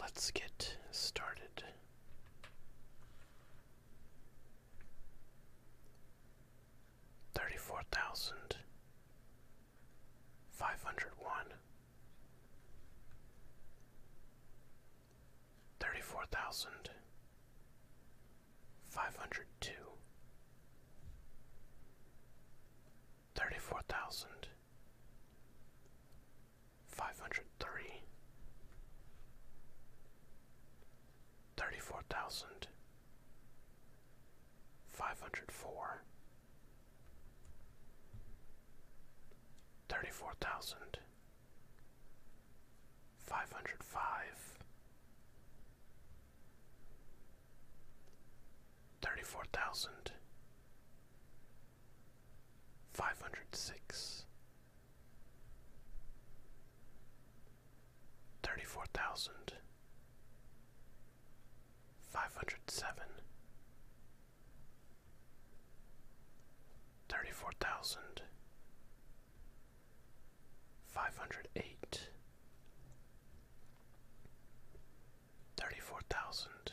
Let's get started. Thirty four thousand five hundred one, thirty four thousand five hundred two, thirty four thousand five hundred three, thirty four thousand five hundred four, thirty four thousand five hundred five, thirty four thousand Five hundred Five hundred Five hundred thirty four thousand, five hundred eight. Thirty four thousand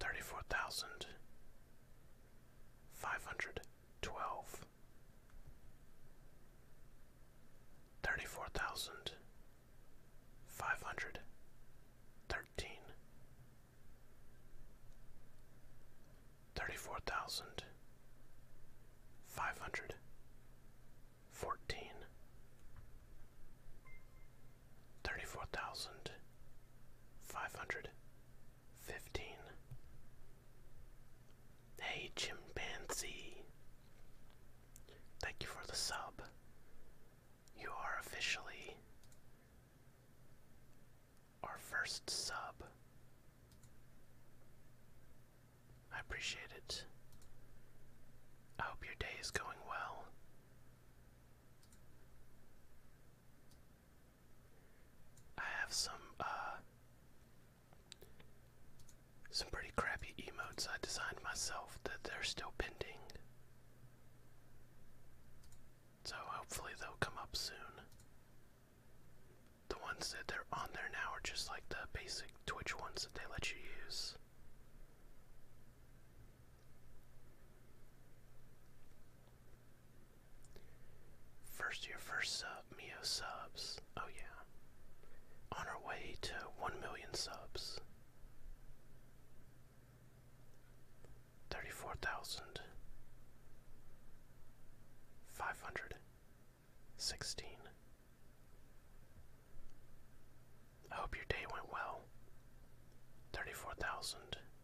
thirty-four thousand five hundred twelve, thirty-four thousand five hundred thirteen, thirty-four thousand five hundred fourteen thirty-four thousand five hundred fifteen. Hey chimpanzee, thank you for the sub. You are officially our first sub. I appreciate it. I hope your day is going well. I have some uh, some pretty crappy emotes I designed myself that they're still pending. So hopefully they'll come up soon. The ones that they're on there now are just like the basic Twitch ones that they let you use. First year, first sub, Mio subs. Oh, yeah. On our way to 1 million subs. 34,516. I hope your day went well. 34,000.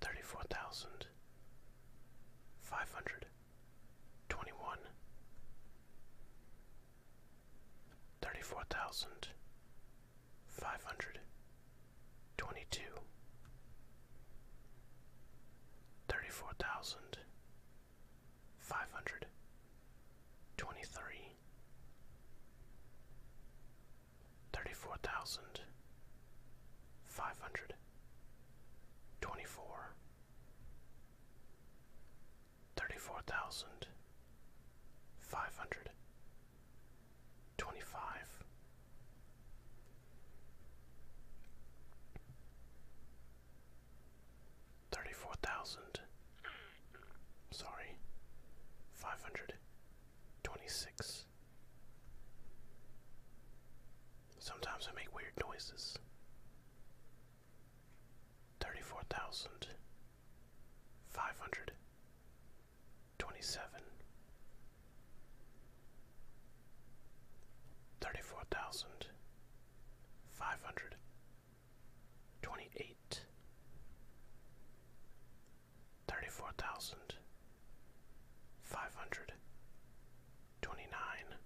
thirty four thousand five hundred twenty one thirty four thousand five hundred twenty two thirty four thousand five hundred twenty three thirty four thousand five hundred twenty four thirty four thousand five hundred twenty five Thirty-four thousand. Sorry. Five hundred twenty-six. Sometimes I make weird noises. Thirty-four thousand five hundred twenty-seven. Thirty-four thousand five hundred twenty-eight, thirty-four thousand, five hundred, twenty-nine,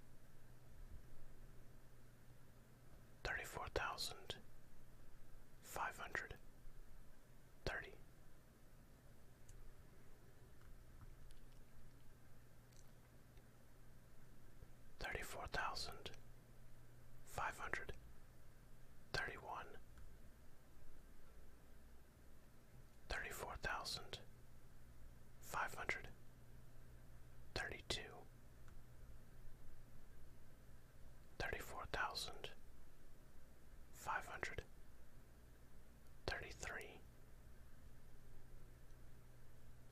thirty-four thousand, five hundred, thirty thirty-four thousand five hundred thirty-one thirty-four thousand five hundred thirty-two thirty-four thousand five hundred thirty-three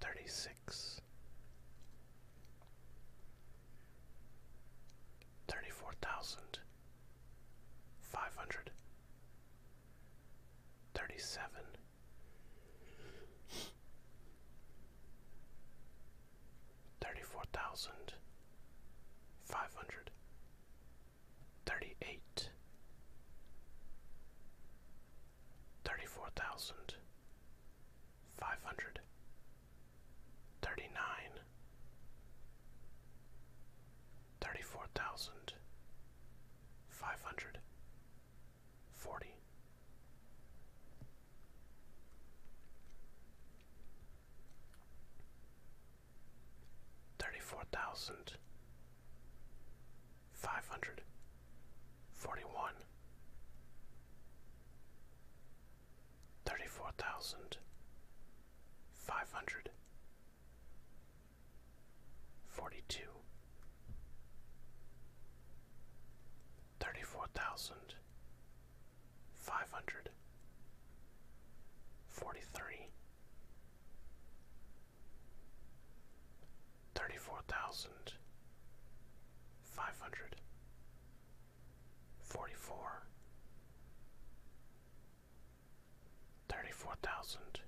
Thirty-six. Five Five hundred. Thirty-seven. thirty six, thirty four thousand five hundred, thirty seven. Thirty four thousand five hundred thirty eight thirty four thousand five hundred thirty nine thirty four thousand five hundred forty thirty four thousand five hundred forty one thirty-four thousand five hundred forty-two thirty-four thousand five hundred forty-three thirty-four thousand five hundred forty four thirty four thousand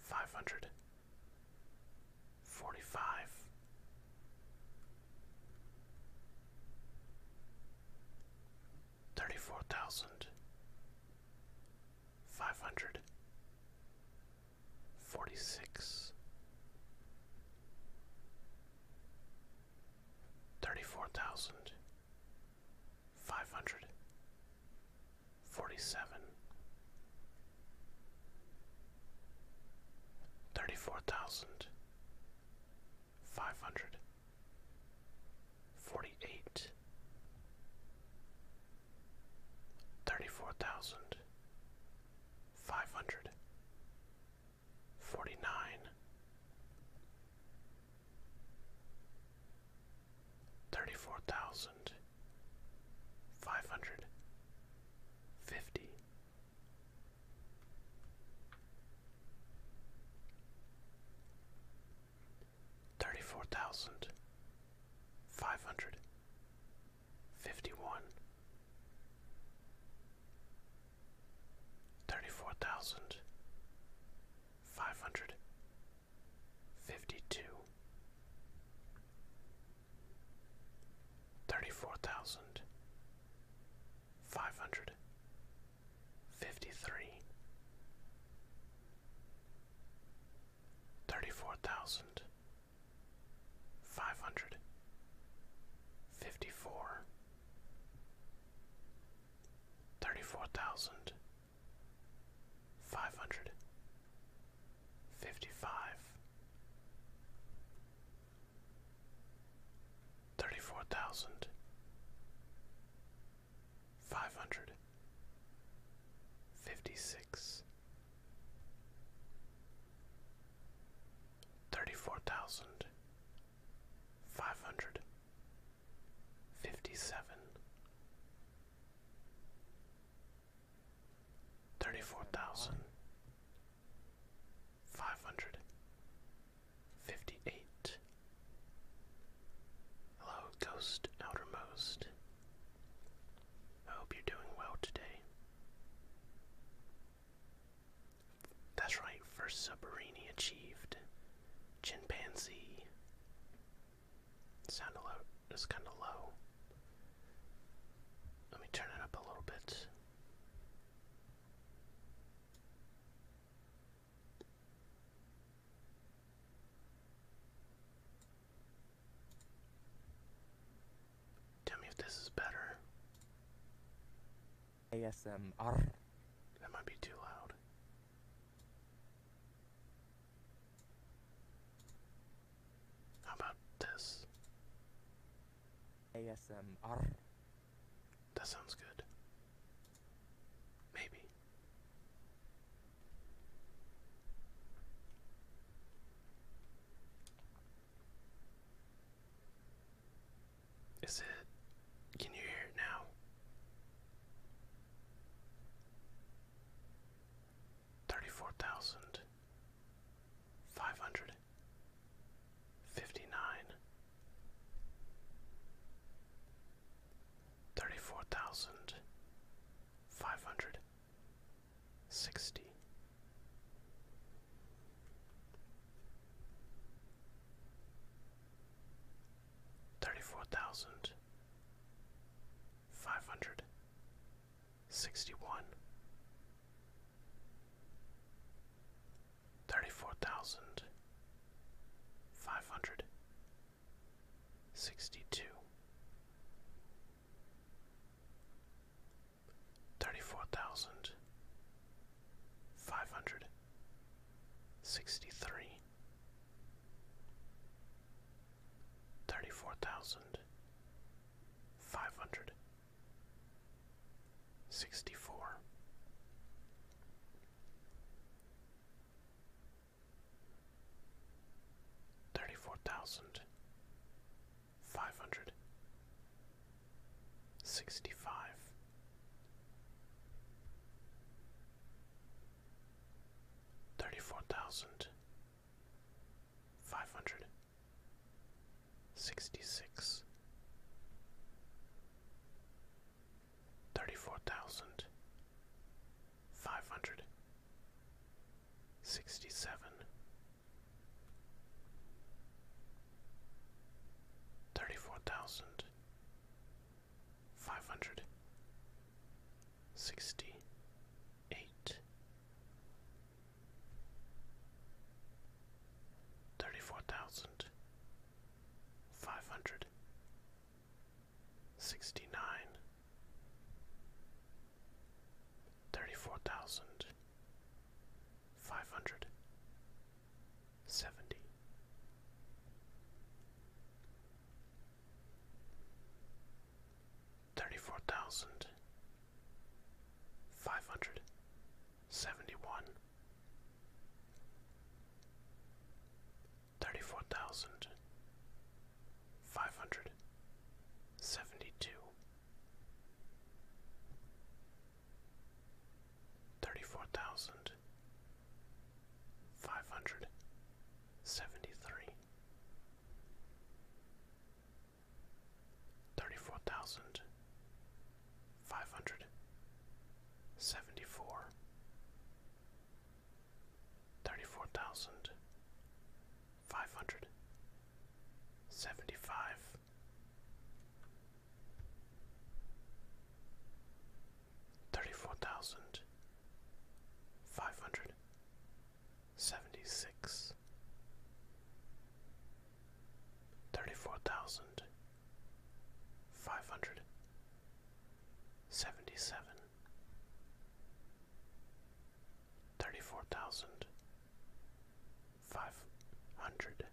five hundred forty five thirty four thousand five hundred Forty-six. Five Five hundred. Forty-seven. forty six, thirty four thousand five hundred forty seven, thirty four thousand five hundred forty eight. Thirty four thousand five hundred forty nine thirty four thousand five hundred fifty thirty four thousand five hundred Fifty-one. Five Five hundred. Fifty-two. hundred. Fifty-three. fifty-one, thirty-four thousand five hundred fifty-two, thirty-four thousand five hundred fifty-three, thirty-four thousand five hundred fifty four thirty four thousand five hundred fifty five thirty four thousand five hundred fifty six thirty-four thousand five hundred fifty-seven thirty-four thousand five hundred fifty-eight Hello, Ghost Outermost. I hope you're doing well today. That's right, first submarine he achieved. Chimpanzee. Sound a lot kinda low. Let me turn it up a little bit. Tell me if this is better. ASMR. That might be too loud. How about this? ASMR. That sounds good. Maybe. Is it? Can you hear it now? Thirty four thousand five hundred fifty nine, thirty four thousand five hundred sixty. Thirty four thousand five hundred sixty one, thirty four thousand five hundred sixty two, thirty-four thousand five hundred sixty-three, thirty-four thousand five hundred sixty-four. Thirty-four thousand Five hundred sixty-five. Thirty-four five hundred sixty five thirty four thousand five hundred sixty six thirty four thousand five hundred sixty seven thirty-four thousand five hundred sixty-eight, thirty-four thousand five hundred sixty-nine, thirty-four thousand five hundred seventy thirty four thousand five hundred seventy one thirty four thousand five hundred seventy two Thirty-four thousand five hundred seventy-three, thirty-four thousand five hundred seventy-four, thirty-four thousand five hundred seventy five thirty four thousand five hundred seventy six thirty four thousand five hundred seventy seven Thirty four thousand five hundred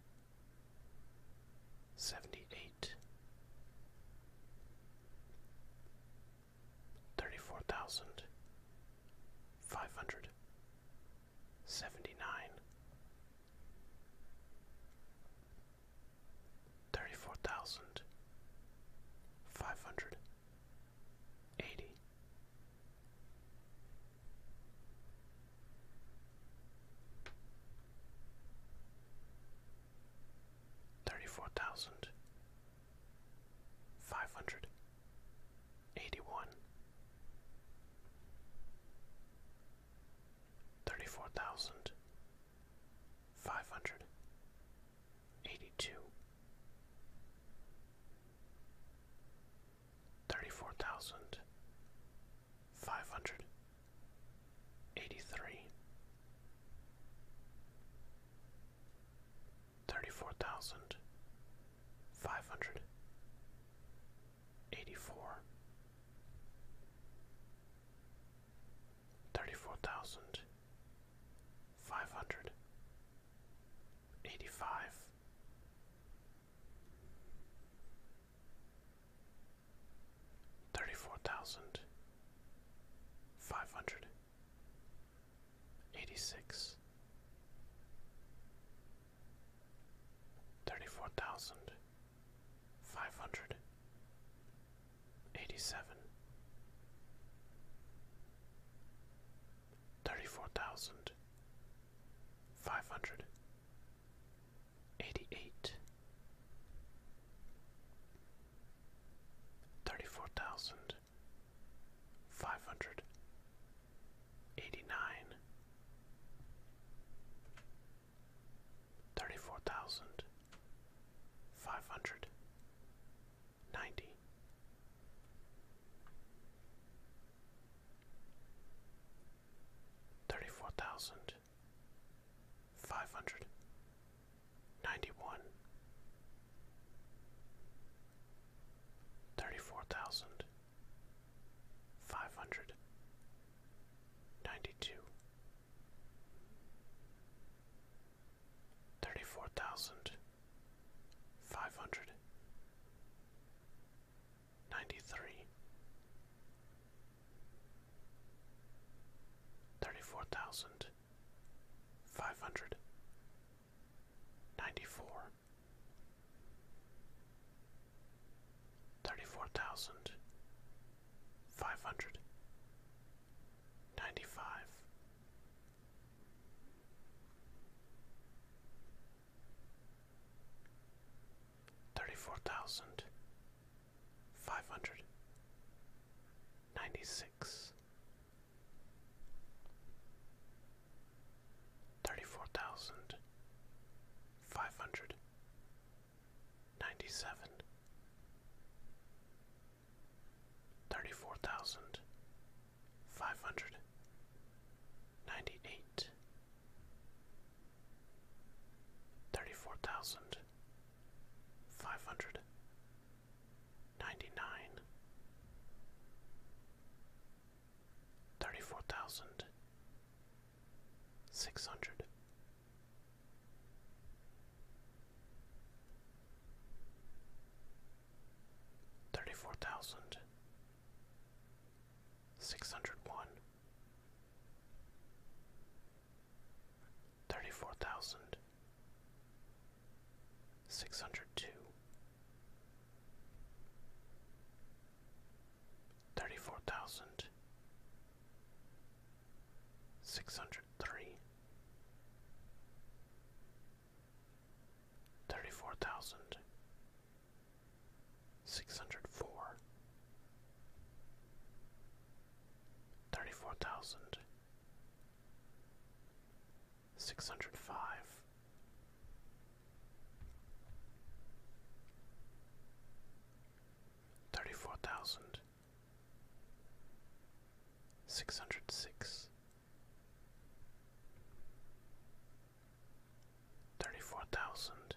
seventy eight thirty four thousand five hundred seventy nine thirty four thousand five hundred eighty Thirty-four thousand five hundred eighty-one, thirty-four thousand five hundred eighty-two, thirty-four thousand five hundred eighty-three thirty-four thousand five hundred eighty-four thirty-four thousand five hundred eighty-five Thirty-four thousand five hundred eighty-six, thirty-four thousand five hundred eighty-seven, thirty-four thousand five hundred eighty-eight thirty-four thousand five hundred eighty-nine thirty-four thousand five hundred ninety thirty-four thousand five hundred ninety-one, thirty-four thousand five hundred ninety-two, thirty-four thousand five hundred ninety-three, thirty-four thousand five hundred ninety-four, thirty-four thousand five hundred ninety-five thirty-four thousand five hundred ninety-six thirty-four thousand five hundred ninety-seven thirty-four thousand five hundred ninety-eight thirty-four thousand five hundred ninety-nine, thirty-four thousand six hundred. Thirty four thousand Six hundred six hundred one, thirty four thousand, six hundred two, thirty four thousand, six hundred three. Thirty four thousand Six hundred Six hundred six hundred four, thirty four thousand, six Six hundred six thirty-four thousand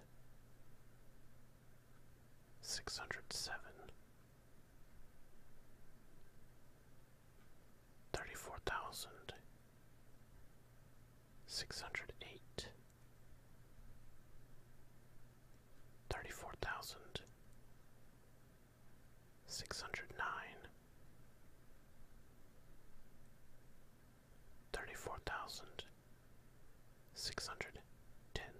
six hundred seven thirty-four thousand six hundred eight thirty-four thousand six hundred nine thirty-four thousand six hundred ten.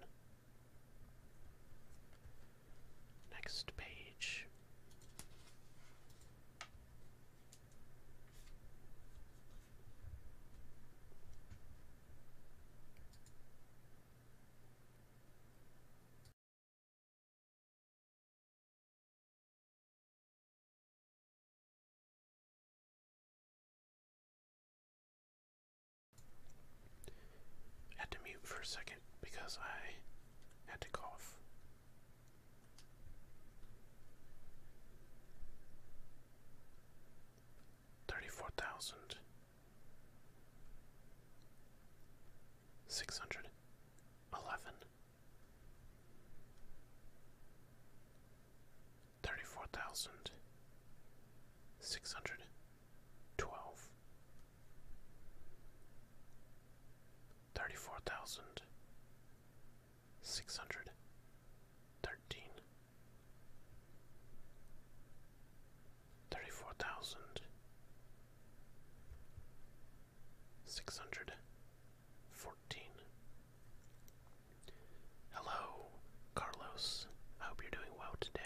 Next page. Had to mute for a second because I had to cough. Thirty four thousand six hundred eleven thirty-four thousand six hundred twelve thirty-four thousand six hundred thirteen thirty-four thousand six hundred 14. Hello, Carlos. I hope you're doing well today.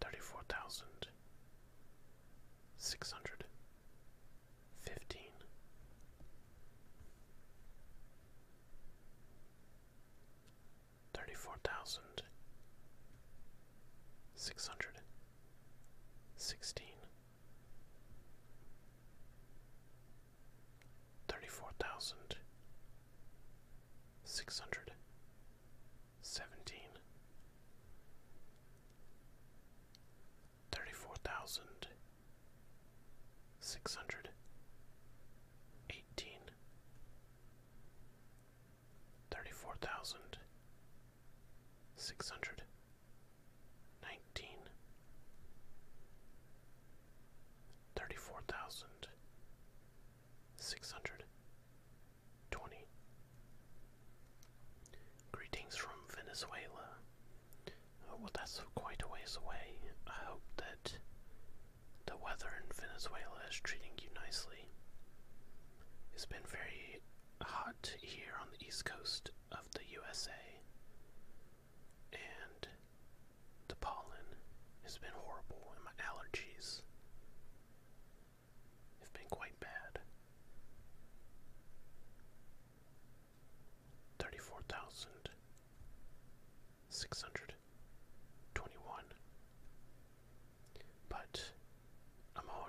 34,615. Thirty-four thousand six hundred sixteen thirty-four thousand six hundred seventeen, thirty-four thousand six hundred eighteen, thirty-four thousand six hundred nineteen thirty four thousand six hundred twenty Greetings from Venezuela. Uh, well, that's quite a ways away. I hope that the weather in Venezuela is treating you nicely. It's been very hot here on the east coast of the USA, and the pollen has been horrible, and my allergies have been quite bad. 34,621. But I'm all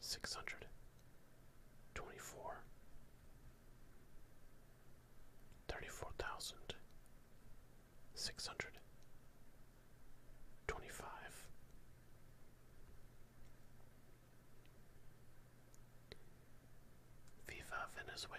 six hundred twenty four thirty four thousand six hundred twenty five Viva Venezuela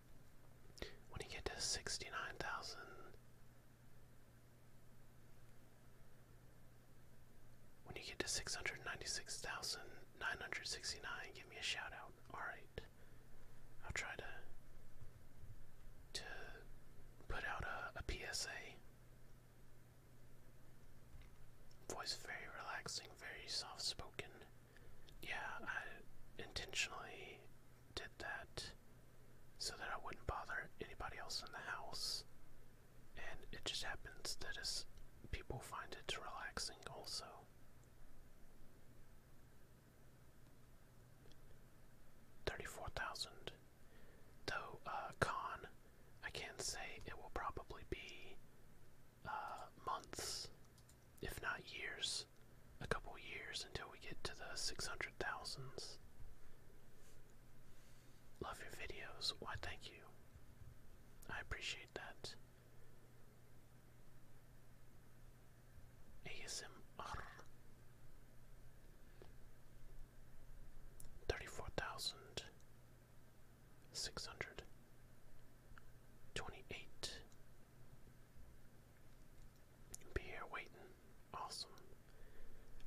When you get to sixty nine thousand when you get to six hundred ninety six thousand nine hundred sixty nine, give me a shout out. Alright. I'll try to to put out a PSA. Voice very relaxing, very soft spoken. Yeah, I intentionally did that so that I wouldn't bother anybody else in the house. And it just happens that as people find it relaxing also. Thirty-four thousand. Though uh, con, I can say it will probably be uh, months if not years, a couple years until we get to the 600 thousands. Love your videos. Why, thank you. I appreciate that. ASMR. 34,628. Be here waiting. Awesome.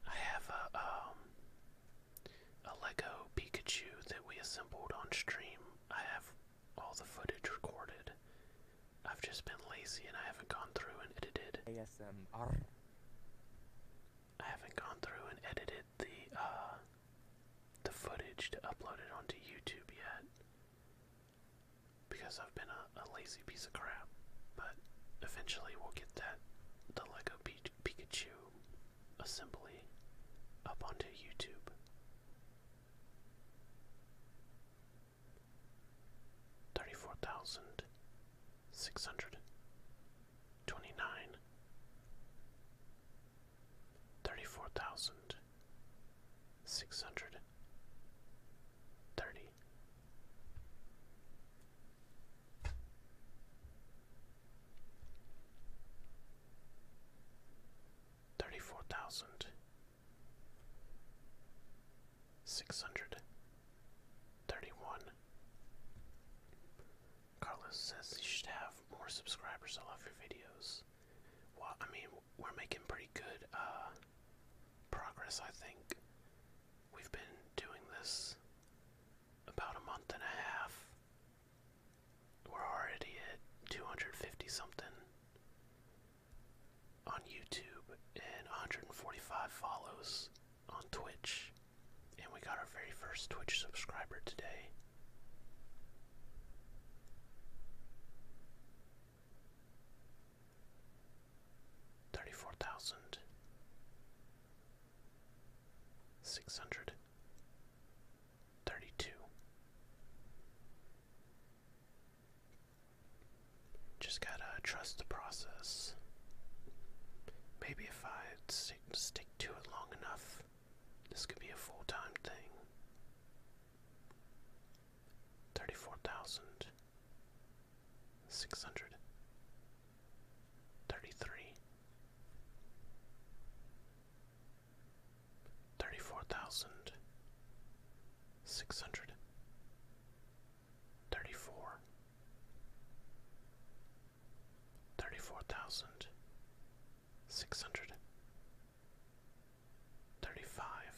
I have a um a Lego Pikachu that we assembled on stream. I have all the footage recorded. I've just been lazy and I haven't gone through and edited. ASMR. I haven't gone through and edited the uh the footage to upload it onto YouTube yet because I've been a, lazy piece of crap. But eventually we'll get that the Lego Pikachu assembly up onto YouTube. Thirty-four thousand six hundred twenty-nine. Thirty-four thousand six hundred thirty. Thirty-four thousand six hundred thirty-one. Carlos says you should have more subscribers. to love your videos. What I mean, we're making pretty good uh, progress, I think. We've been doing this about a month and a half. We're already at 250 something on YouTube and 145 follows on Twitch. And we got our very first Twitch subscriber today thirty-four thousand six hundred thirty-two. Just gotta trust the process. Maybe if I stick, stick to it long enough, this could be a full-time thing thirty-four thousand six hundred thirty-three thirty-four thousand six hundred thirty-four thirty-four thousand six hundred thirty-five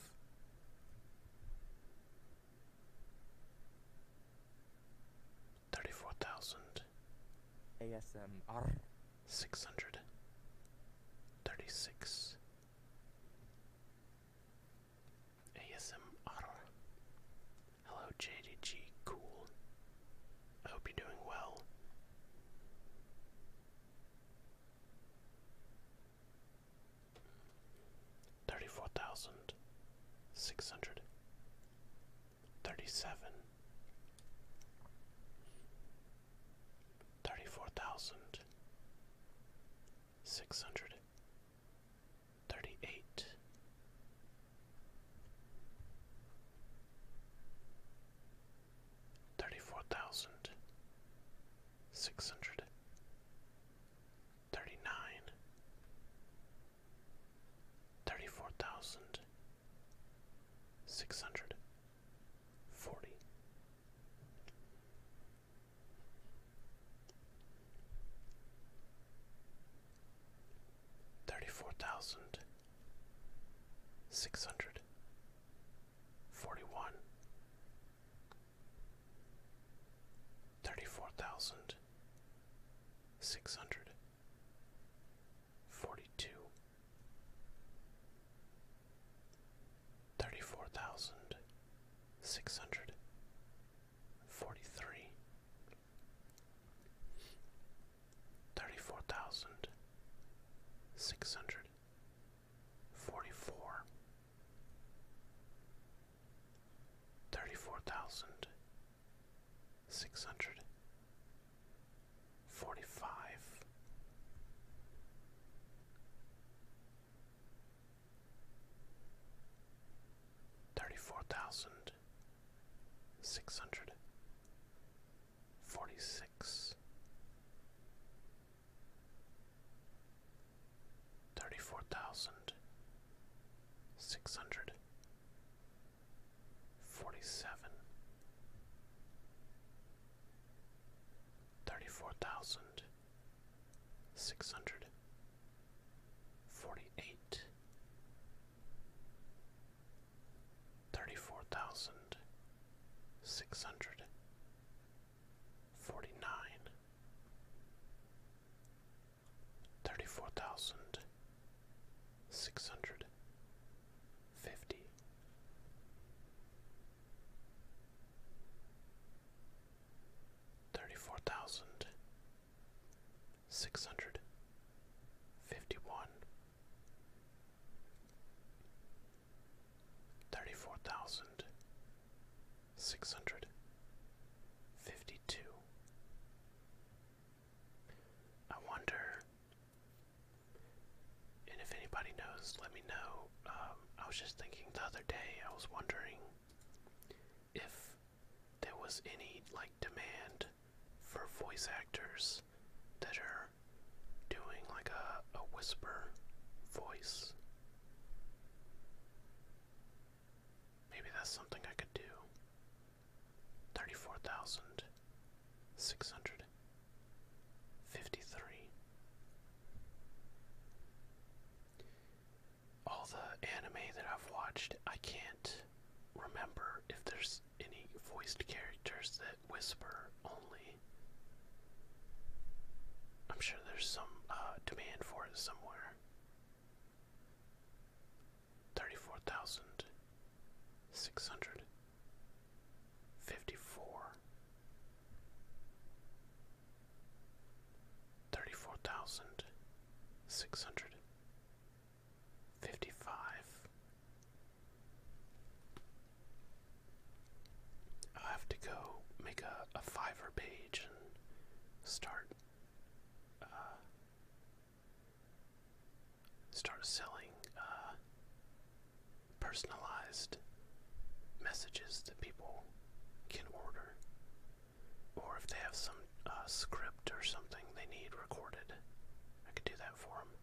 Thirty-four thousand ASMR six hundred thirty-six ASMR Hello JDG Cool. I hope you're doing well thirty-four thousand six hundred thirty-seven thirty-four thousand six hundred thirty-eight thirty-four thousand six hundred thirty nine thirty four thousand six hundred forty thirty four thousand six hundred forty one thirty-four thousand six hundred forty-two thirty-four thousand six hundred forty-three thirty-four thousand six hundred forty-four thirty-four thousand six hundred forty-five thirty-four thousand six hundred forty-six thirty four thousand six hundred forty seven thirty four thousand six hundred forty eight thirty four thousand six hundred forty nine, thirty four thousand six hundred fifty. Thirty four thousand six hundred fifty one, thirty four thousand six hundred fifty two. I wonder, and if anybody knows, let me know. Um, I was just thinking the other day, I was wondering if there was any like demand for voice actors that are doing like a, a whisper voice Maybe that's something I could do. 34,653. All the anime that I've watched, I can't remember if there's any voiced characters that whisper only. I'm sure there's some uh, demand for it somewhere thirty-four thousand six hundred fifty-four, thirty-four thousand six hundred fifty-five. I have to go make a, a fiver page and start uh, start selling uh, personalized messages that people can order or if they have some uh, script or something they need recorded I can do that for them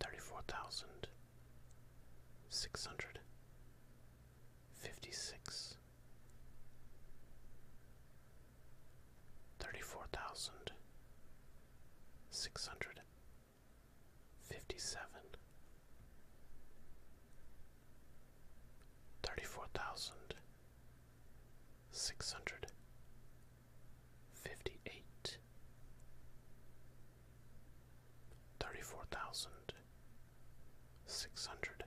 34,000 six hundred fifty six thirty four thousand six hundred fifty seven thirty four thousand six hundred fifty eight thirty-four thousand six hundred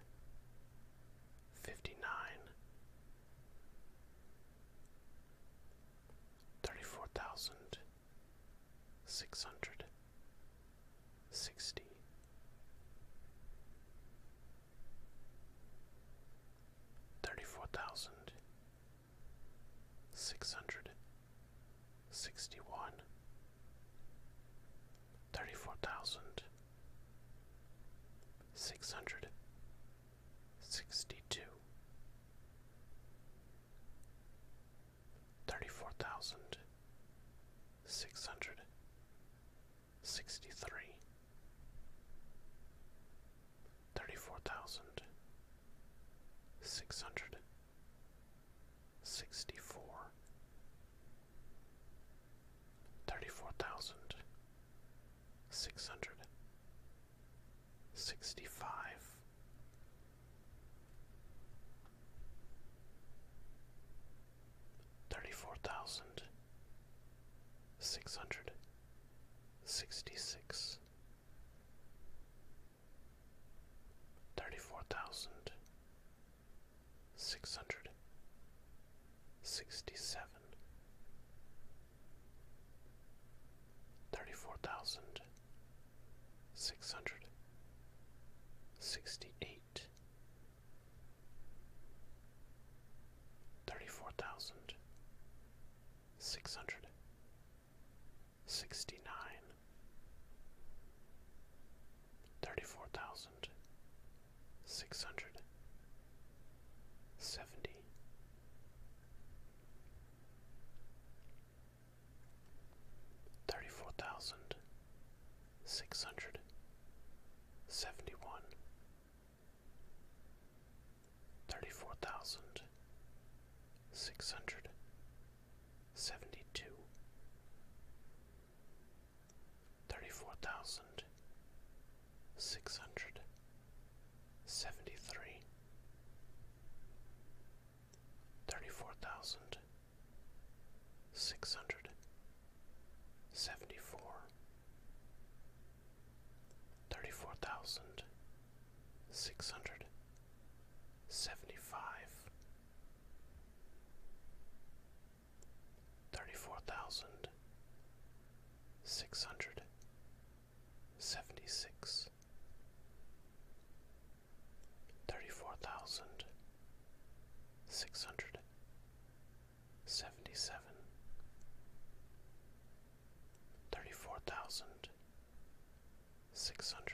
fifty-nine, thirty-four thousand six hundred sixty. Thirty four thousand six hundred Sixty-one. sixty one, thirty four thousand six hundred sixty two, thirty four thousand six hundred sixty three, thirty four thousand six hundred Sixty-four. sixty-four, thirty-four thousand, six hundred, sixty-five, thirty-four thousand, six hundred, sixty-six thirty-four thousand six hundred sixty-seven, thirty-four thousand six hundred sixty-eight, thirty-four thousand six hundred Sixty-nine. sixty nine, thirty four thousand, six hundred, seventy, thirty four thousand, six hundred, seventy one. Thirty four thousand six hundred Seventy-two. seventy two, thirty four thousand six hundred seventy three, thirty four thousand six hundred seventy four, thirty four thousand six hundred seventy five thirty-four thousand six hundred seventy-six thirty-four thousand six hundred seventy-seven thirty-four thousand six hundred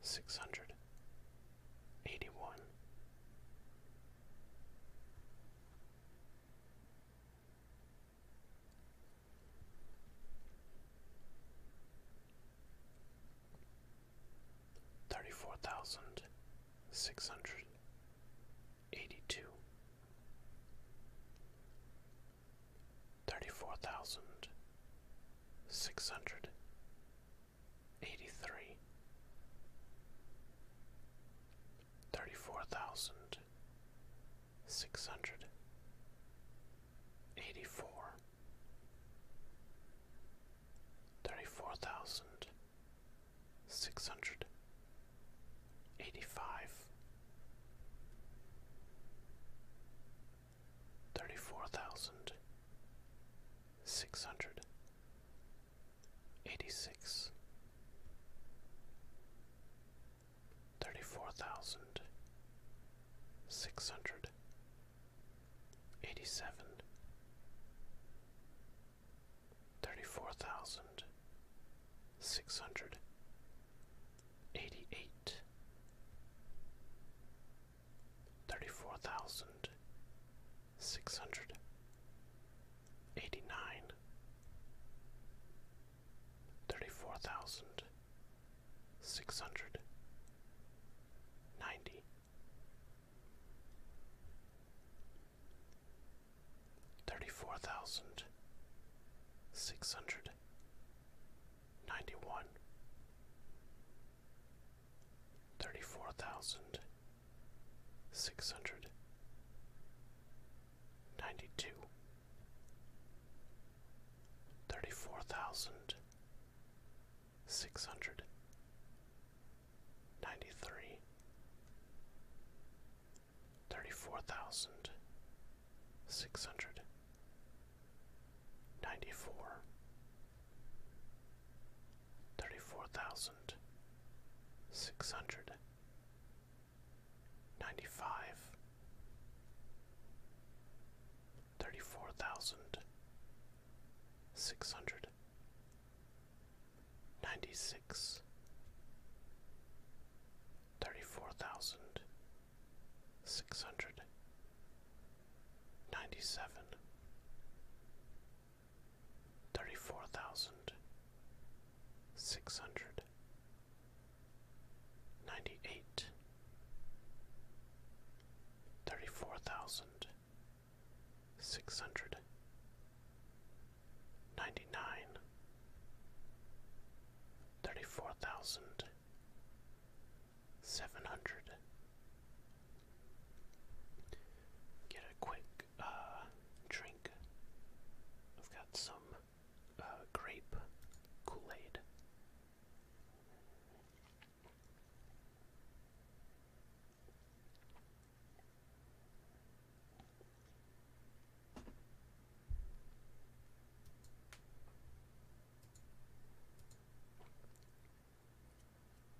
six hundred eighty one. Thirty four thousand six hundred eighty two, thirty four thousand six hundred eighty three, thirty four thousand six hundred eighty four, thirty four thousand six hundred eighty five. Thirty four thousand six hundred eighty six thirty four thousand six hundred eighty seven thirty four thousand six hundred eighty eight thirty-four thousand six hundred eighty-nine, thirty-four thousand six hundred ninety, thirty-four thousand six hundred ninety-one thirty four thousand six hundred ninety two thirty four thousand six hundred ninety three thirty four thousand six hundred ninety four thirty-four thousand six hundred ninety-five, thirty-four thousand six hundred ninety-six, thirty-four thousand six hundred ninety-seven thirty-four thousand six hundred ninety-eight thirty-four thousand six hundred ninety-nine thirty-four thousand seven hundred Get a quick uh, drink. I've got some uh, grape Kool Aid.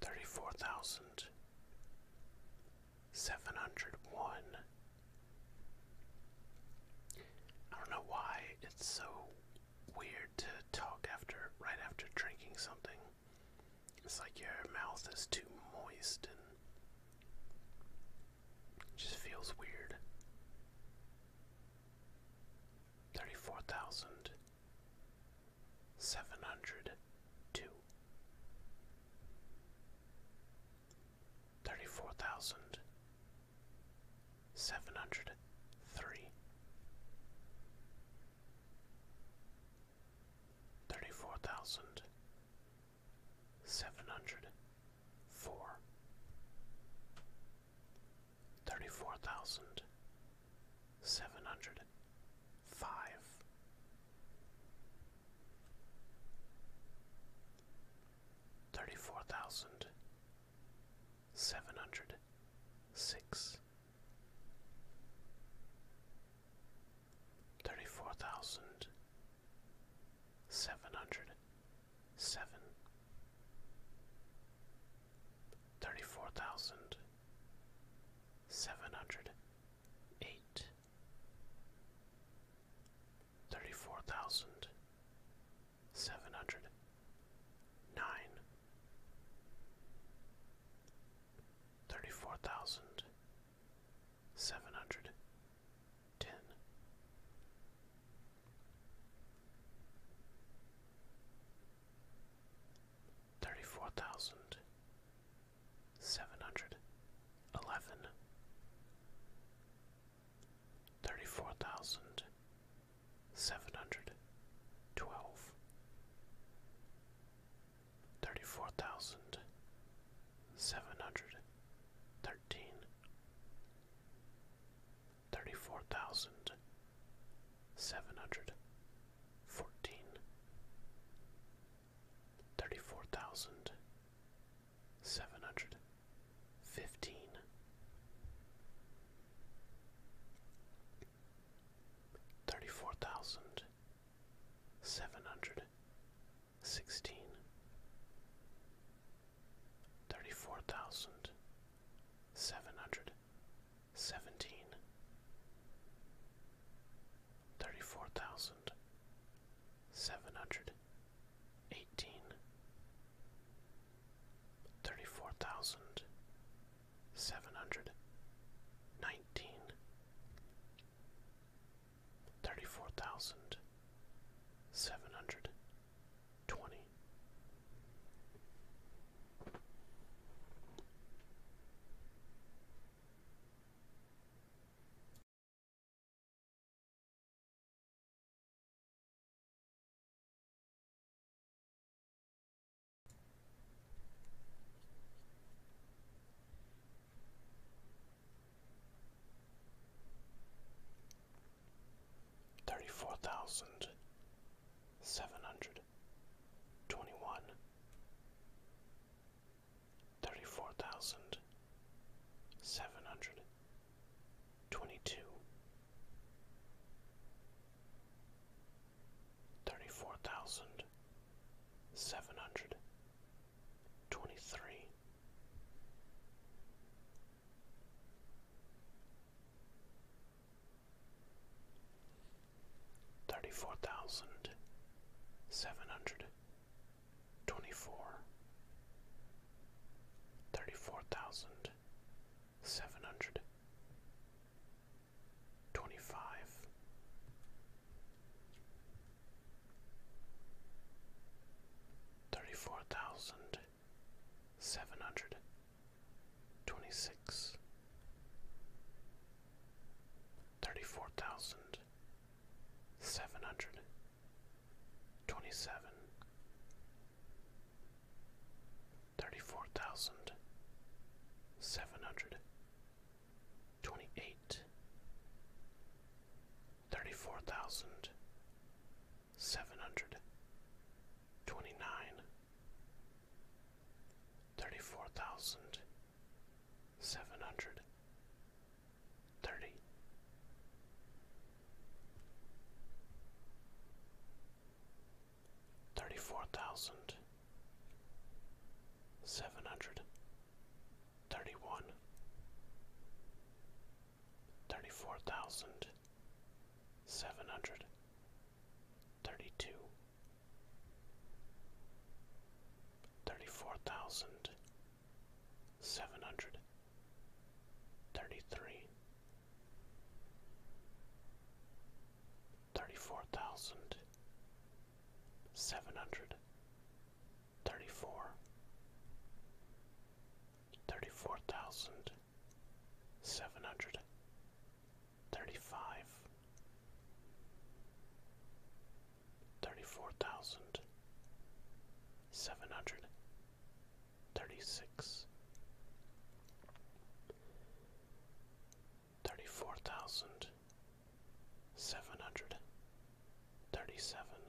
Thirty four thousand seven hundred one I don't know why it's so weird to talk after right after drinking something. It's like your mouth is too moist and just feels weird. 34,702 thirty-four thousand seven hundred three, thirty-four thousand seven hundred four, thirty-four thousand seven hundred five thirty-four thousand seven hundred six thirty-four thousand seven hundred seven thirty-four thousand seven hundred eight thirty-four thousand seven hundred nine thirty-four thousand seven hundred ten thirty-four thousand seven hundred eleven thirty-four thousand seven hundred twelve, thirty-four thousand seven hundred thirteen, thirty-four thousand seven hundred fourteen, thirty-four thousand Seven hundred fifteen. Thirty-four seven hundred fifteen thirty four thousand seven hundred sixteen thirty four thousand seven hundred seventeen thirty four thousand seven hundred eighteen, thirty-four thousand seven hundred nineteen, thirty-four thousand seven hundred twenty. Thirty four thousand seven hundred twenty one, thirty four thousand seven hundred twenty-two, thirty-four thousand seven hundred twenty-three, thirty-four thousand seven hundred Twenty-four. Thirty-four twenty-four, thirty-four thousand seven hundred, twenty-five, thirty-four thousand seven hundred, twenty-six, thirty-four thousand seven hundred. Twenty-seven. Twenty-eight. Twenty-nine. twenty-seven, thirty-four thousand, seven hundred, twenty-eight, thirty-four thousand, seven hundred, twenty-nine, thirty-four thousand, seven hundred, thirty. Thirty-four thousand seven hundred thirty-one, thirty-four thousand seven hundred thirty-two, thirty-four thousand seven hundred thirty three thirty four thousand seven hundred thirty four thirty four thousand seven hundred thirty five thirty four thousand seven hundred thirty-six, thirty-four thousand seven hundred thirty-seven,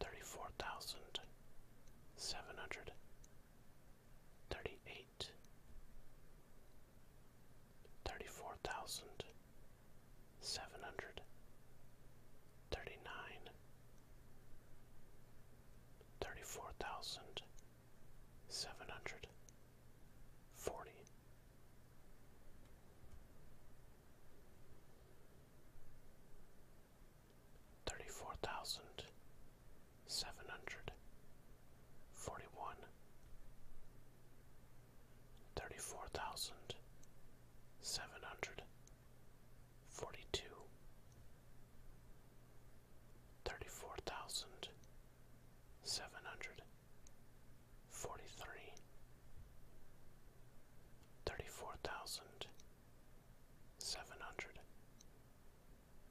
thirty-four thousand seven hundred thirty-eight, thirty-four thousand seven hundred thirty nine thirty four thousand seven hundred forty thirty four thousand seven hundred forty one Thirty four thousand seven hundred forty-two, thirty-four thousand, seven hundred, forty-three, thirty-four thousand, seven hundred,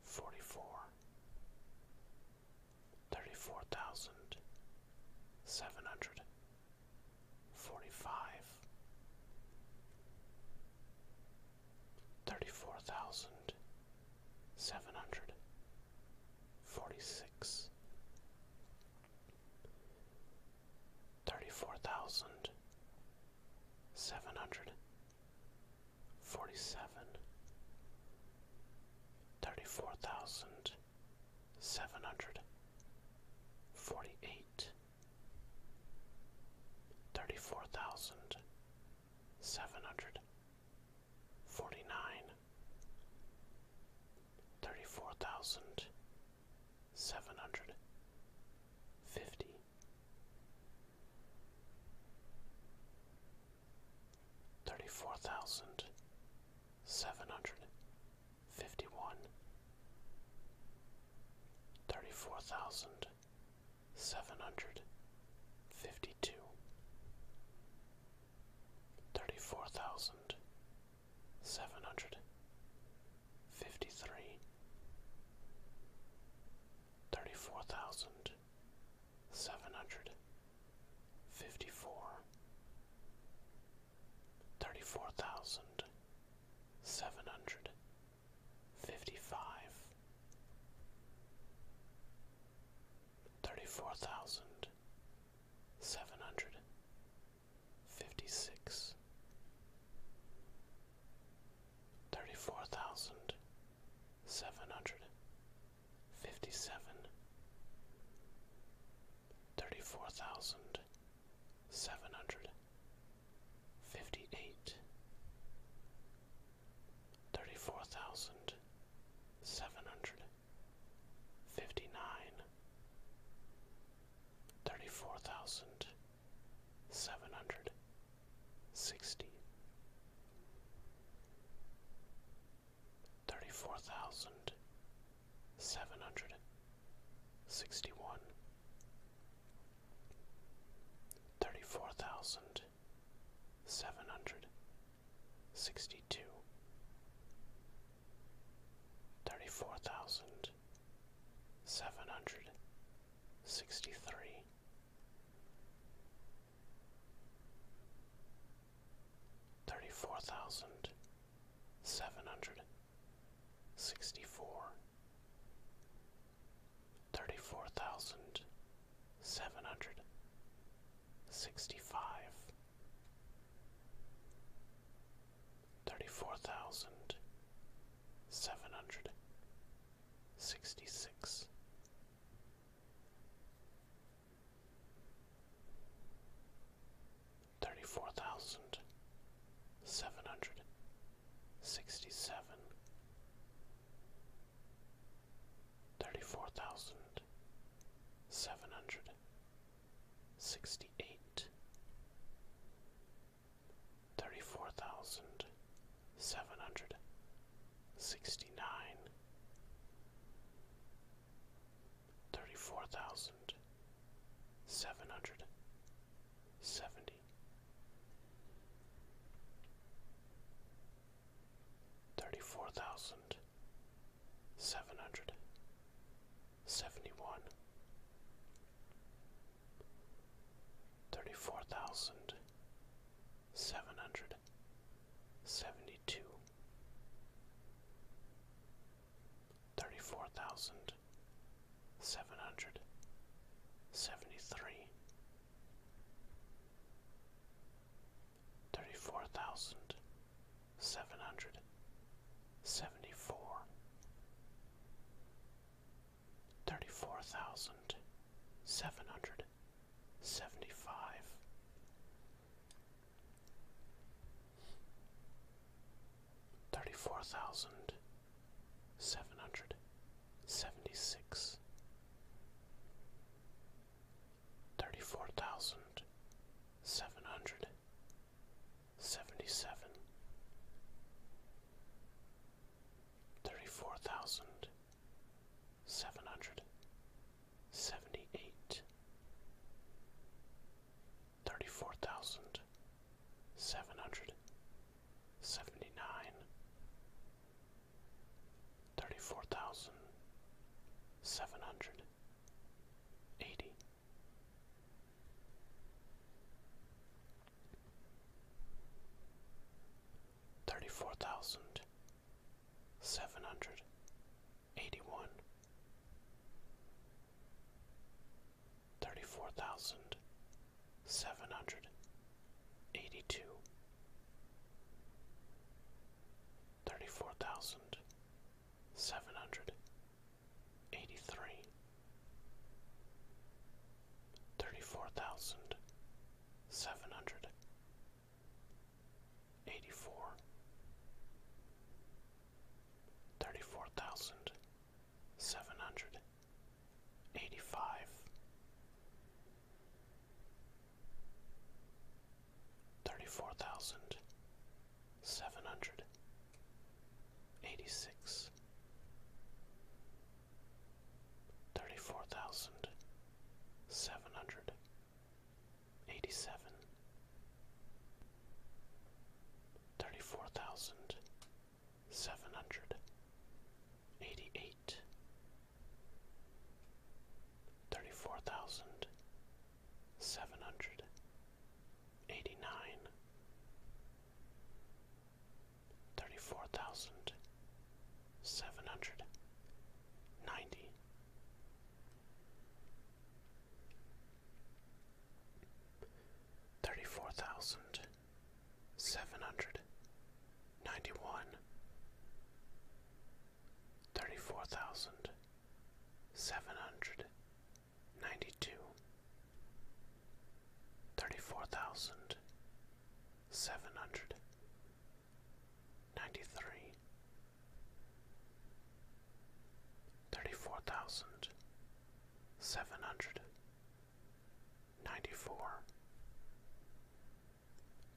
forty-four, thirty-four thousand, seven hundred, forty-five, thirty-four thousand seven hundred forty-six, thirty-four thousand seven hundred forty-seven, thirty-four thousand seven hundred forty-eight. Thirty-four thousand seven hundred forty-nine. Thirty-four thousand seven hundred thirty-four thousand seven hundred forty-nine, thirty-four thousand seven hundred fifty, thirty-four thousand seven hundred fifty one, thirty four thousand seven hundred fifty two, thirty four thousand seven hundred fifty three, thirty four thousand seven hundred fifty four thirty-four thousand seven hundred fifty-five, thirty-four thousand seven hundred fifty-six, thirty-four thousand seven hundred fifty-seven, thirty-four thousand seven hundred fifty eight thirty four thousand seven hundred fifty nine thirty four thousand seven hundred sixty thirty four thousand seven hundred sixty one thirty four thousand seven hundred sixty two thirty four thousand seven hundred sixty three Thirty four thousand seven hundred Sixty-four. sixty-four, thirty-four thousand seven hundred sixty-five, thirty-four thousand seven hundred sixty-six. Thirty-four thousand, seven hundred sixty-seven. Thirty-four thousand, seven hundred sixty-eight. Thirty-four thousand, seven hundred thirty-four thousand seven hundred sixty-seven, thirty-four thousand seven hundred sixty-eight, thirty-four thousand seven hundred sixty-nine, thirty-four thousand seven hundred seventy. Thirty four thousand seven hundred seventy one, thirty four thousand seven hundred seventy two, Thirty-four thousand seven hundred seventy-three. Thirty-four thousand seven hundred seventy-four. Thirty-four thousand seven hundred seventy-five thirty-four thousand seven hundred seventy-six, thirty-four thousand seven hundred seventy-seven, thirty-four thousand seven hundred seventy-eight thirty-four thousand seven hundred seventy-nine, thirty-four thousand seven hundred eighty. Thirty-four thousand seven hundred eighty-one, Thirty-four thousand, seven hundred eighty-two. Thirty-four thousand, seven hundred eighty-three. Thirty-four thousand, thirty-four thousand seven hundred eighty-two, thirty-four thousand seven hundred eighty-three, thirty-four thousand seven hundred eighty-four, thirty-four thousand seven hundred eighty five thirty four thousand seven hundred eighty six thirty four thousand seven hundred eighty seven Thirty four thousand seven hundred eighty eight thirty four thousand seven hundred eighty nine thirty four thousand seven hundred ninety thirty-four thousand seven hundred ninety-one, thirty-four thousand seven hundred ninety-two, thirty-four thousand seven hundred ninety-three, thirty-four thousand seven hundred 94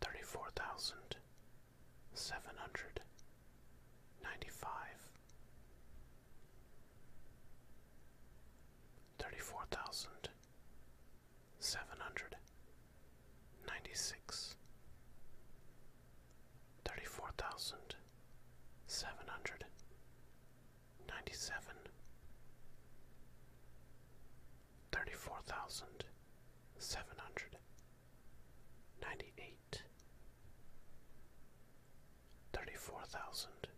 34795 34796 34797 Ninety-seven. thousand. Seven ninety-seven, thirty-four thousand, seven hundred, ninety-eight, thirty-four thousand,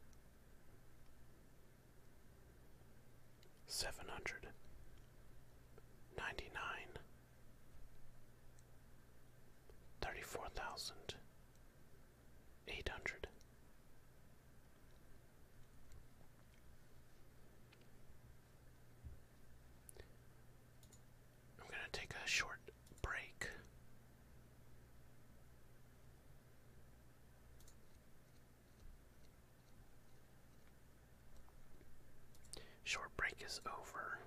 seven hundred, ninety-nine, thirty-four thousand eight hundred. I'm going to take a short break. Short break is over.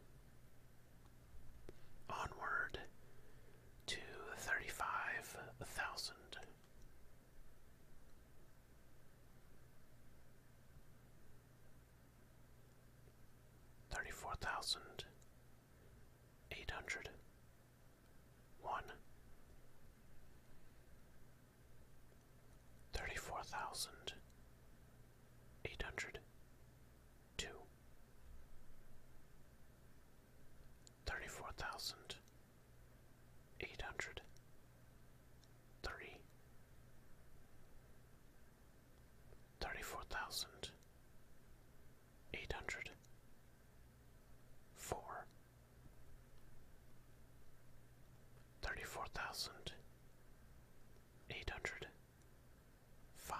Onward to thirty-five thousand. Thirty-four thousand eight hundred one, thirty-four thousand eight hundred two, thirty-four thousand eight hundred three thirty-four thousand eight hundred four thirty-four thousand eight hundred five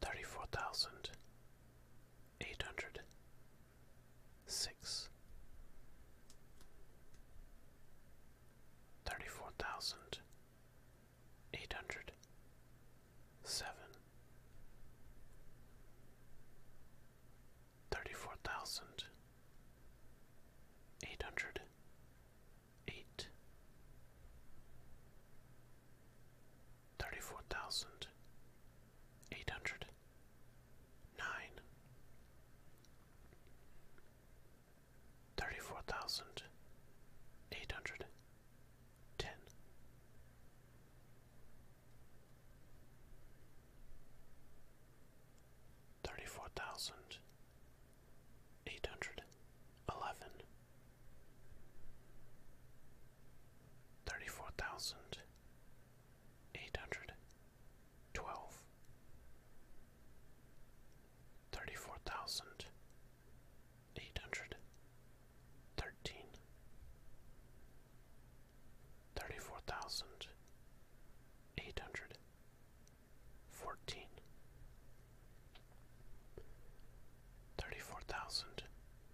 thirty-four thousand eight hundred six thirty-four thousand eight hundred seven thirty-four thousand eight hundred eight thirty four thousand eight hundred nine thirty four thousand eight hundred ten thirty-four thousand eight hundred eleven, thirty-four thousand eight hundred twelve, thirty-four thousand eight hundred thirteen, thirty-four thousand eight hundred Fourteen. Sixteen. fourteen,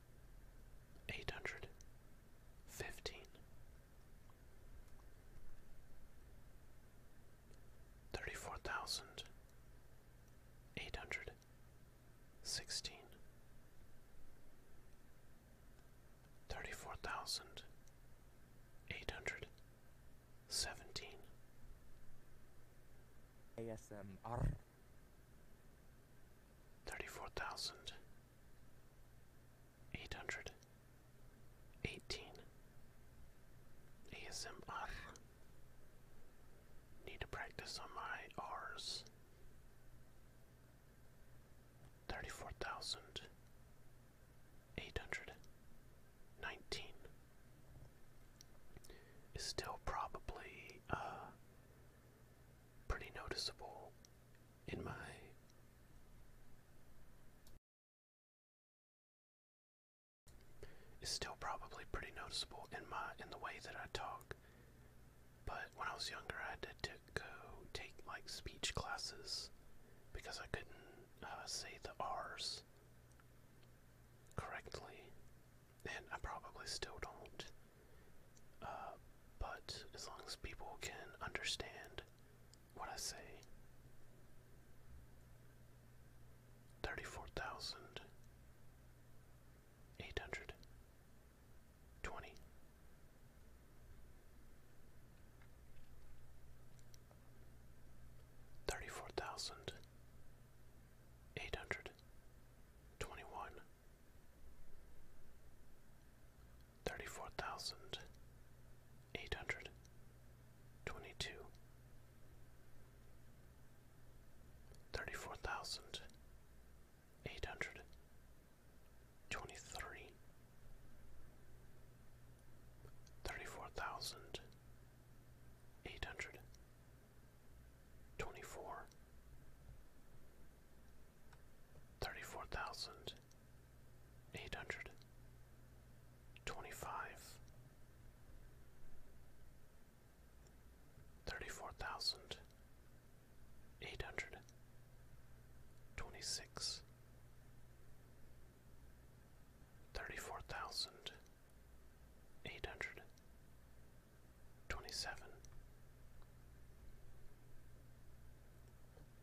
thirty-four thousand eight hundred fifteen, thirty-four thousand eight hundred sixteen. Thirty-four thousand eight hundred seventeen. ASMR. hundred. Eighteen. ASMR. Need to practice on my R's. Thirty-four thousand eight hundred nineteen is still probably uh, pretty noticeable in my is still probably pretty noticeable in my in the way that I talk. But when I was younger, I had to go take like speech classes because I couldn't uh, say the R's correctly, and I probably still don't. Uh, but as long as people can understand what I say, 34,820 thirty-four thousand eight hundred twenty-one, thirty-four thousand eight hundred twenty-two, thirty-four thousand eight hundred twenty-three, thirty-four thousand eight hundred twenty four thirty four thousand eight hundred twenty five thirty four thousand eight hundred twenty six thirty-four thousand eight hundred twenty-seven,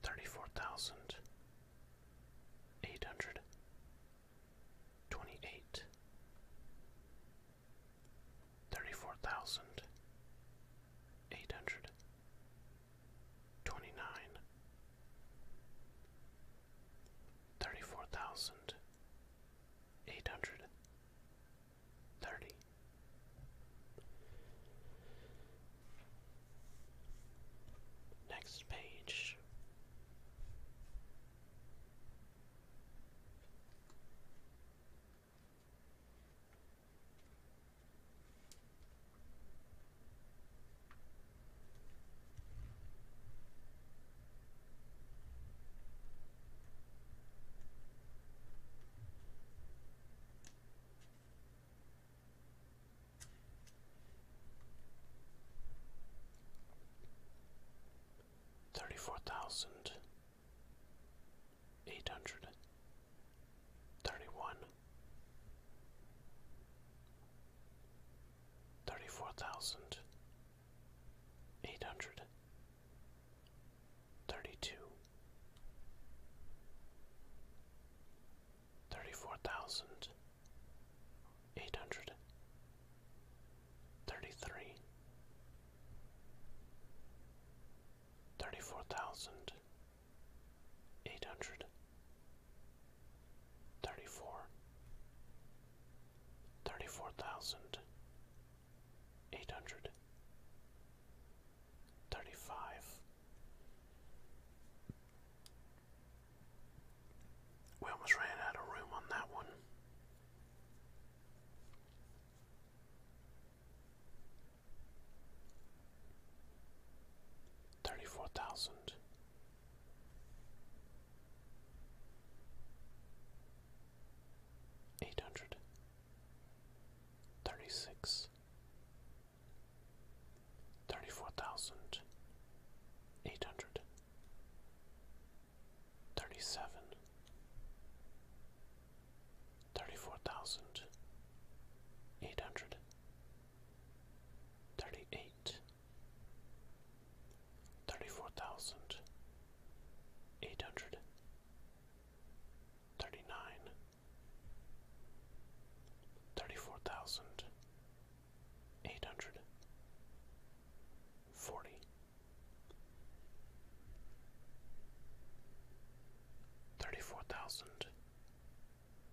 thirty-four thousand eight hundred twenty-eight, thirty-four thousand eight hundred twenty-nine thirty-four thousand eight hundred thirty next page Thirty four thousand eight hundred thirty one thirty-four thousand eight hundred thirty-two thirty-four thousand eight hundred thirty-three thirty-four thousand eight hundred thirty-four, thirty-four thousand, eight hundred, thirty-five. We almost ran out of room on that one. Thirty-four thousand eight hundred thirty six thirty four thousand eight hundred thirty seven thirty four thousand eight hundred thirty eight thirty-four thousand eight hundred thirty-nine thirty-four thousand eight hundred forty thirty-four thousand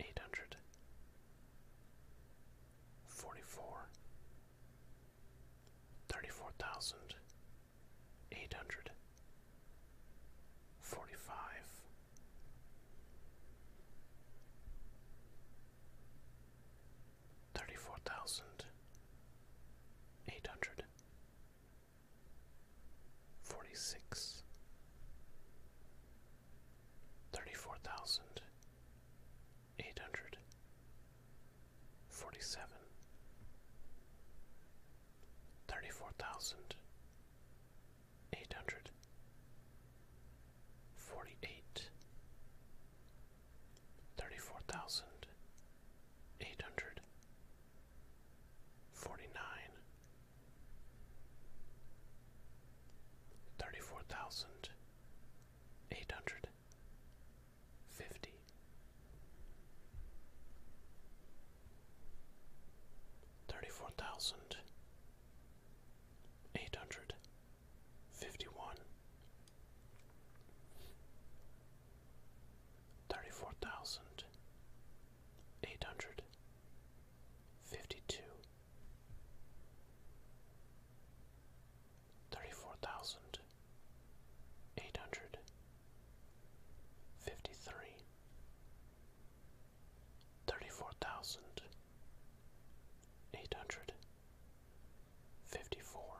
eight hundred forty four thirty four thousand eight hundred forty five thirty four thousand eight hundred forty six thirty four thousand eight hundred forty seven thirty four thousand eight hundred forty eight thirty four thousand eight hundred forty nine thirty four thousand Eight hundred Eight hundred eight hundred fifty thirty four thousand eight hundred fifty one thirty four thousand eight hundred fifty two thirty-four thousand eight hundred fifty-three, thirty-four thousand eight hundred fifty-four,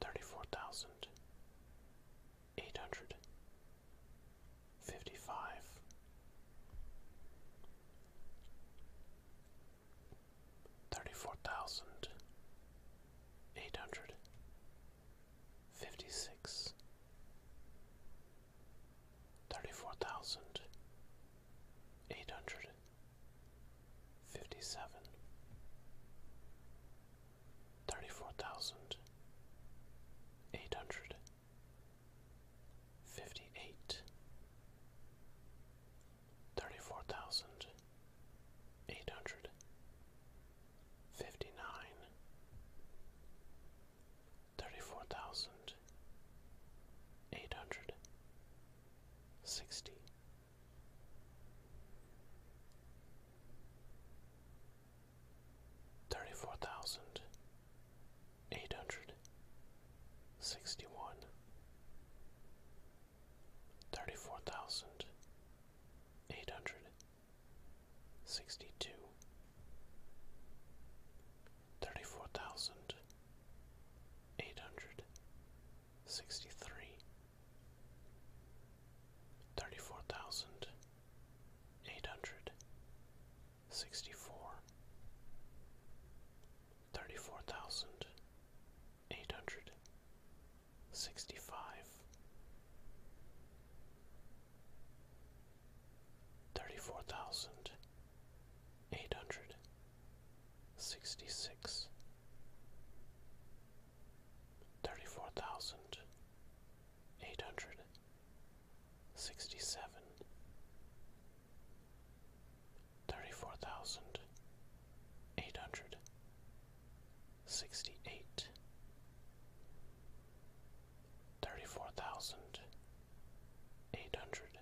thirty-four thousand eight hundred 55 34000 800 34000 800 34000 800 Fifty-eight. hundred. Fifty-nine. fifty eight, thirty four thousand eight hundred fifty nine, thirty four thousand eight hundred sixty. Thirty four thousand Eight hundred eight hundred sixty one thirty four thousand eight hundred sixty two thirty four thousand eight hundred sixty three thirty four thousand eight hundred Sixty-four. sixty-four, thirty-four thousand, eight hundred, sixty-five, thirty-four thousand, eight hundred, sixty-six, thirty-four thousand, eight hundred. Sixty-seven. hundred sixty seven thirty four thousand eight hundred sixty eight thirty four thousand eight hundred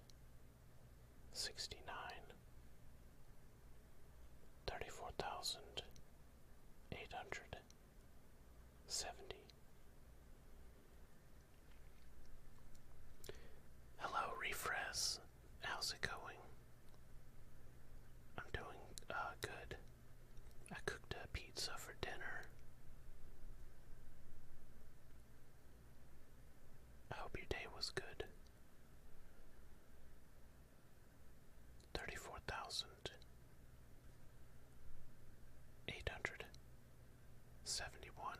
sixty nine thirty four thousand eight hundred seventy Hello, Refresh. How's it going? I'm doing uh, good. I cooked a pizza for dinner. I hope your day was good. 34,871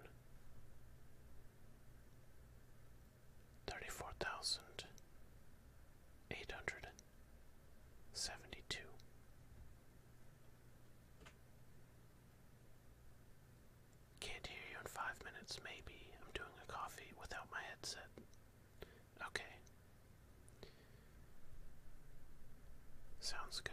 thirty-four thousand eight hundred seventy-two. Can't hear you in five minutes, maybe. I'm doing a coffee without my headset. Okay. Sounds good.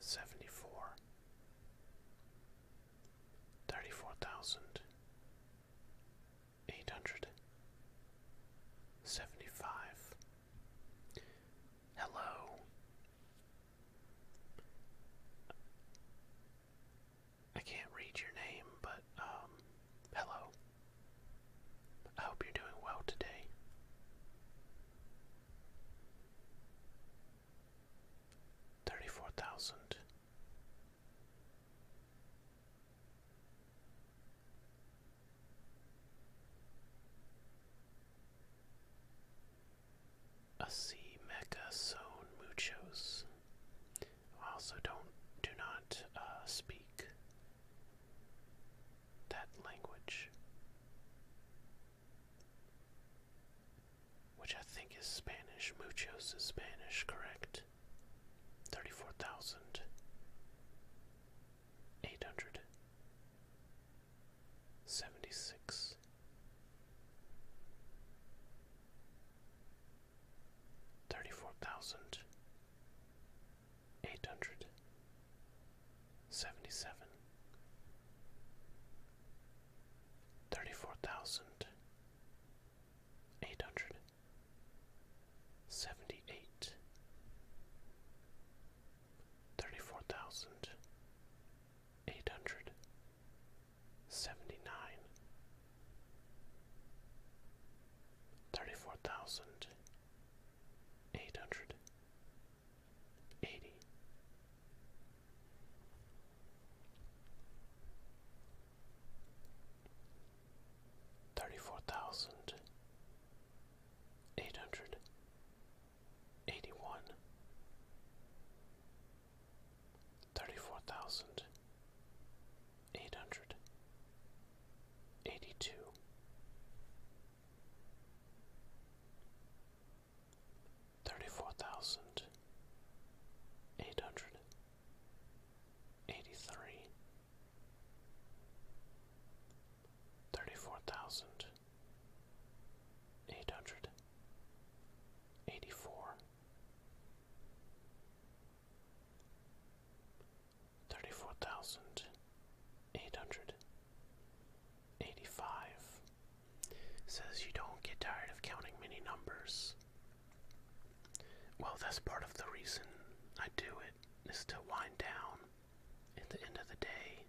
seventy four, thirty four thousand eight hundred seventy five. Hello. I can't read your name, but um, hello. I hope you're doing well today thirty-four thousand a sea muchos also don't do not uh, speak that language which I think is Spanish. Muchos is Spanish, correct? 34,876. Thirty-four thousand eight hundred seventy-seven thirty-four thousand eight hundred seventy-eight, thirty-four thousand eight hundred seventy-nine, thirty-four thousand eight hundred eighty thirty four thousand eight hundred eighty one thirty four thousand eight hundred eighty two thirty-four thousand eight hundred eighty-three, thirty-four thousand eight hundred eighty-four, thirty-four thousand eight hundred eighty-five says you don't get tired of counting many numbers. Well, that's part of the reason I do it, is to wind down at the end of the day.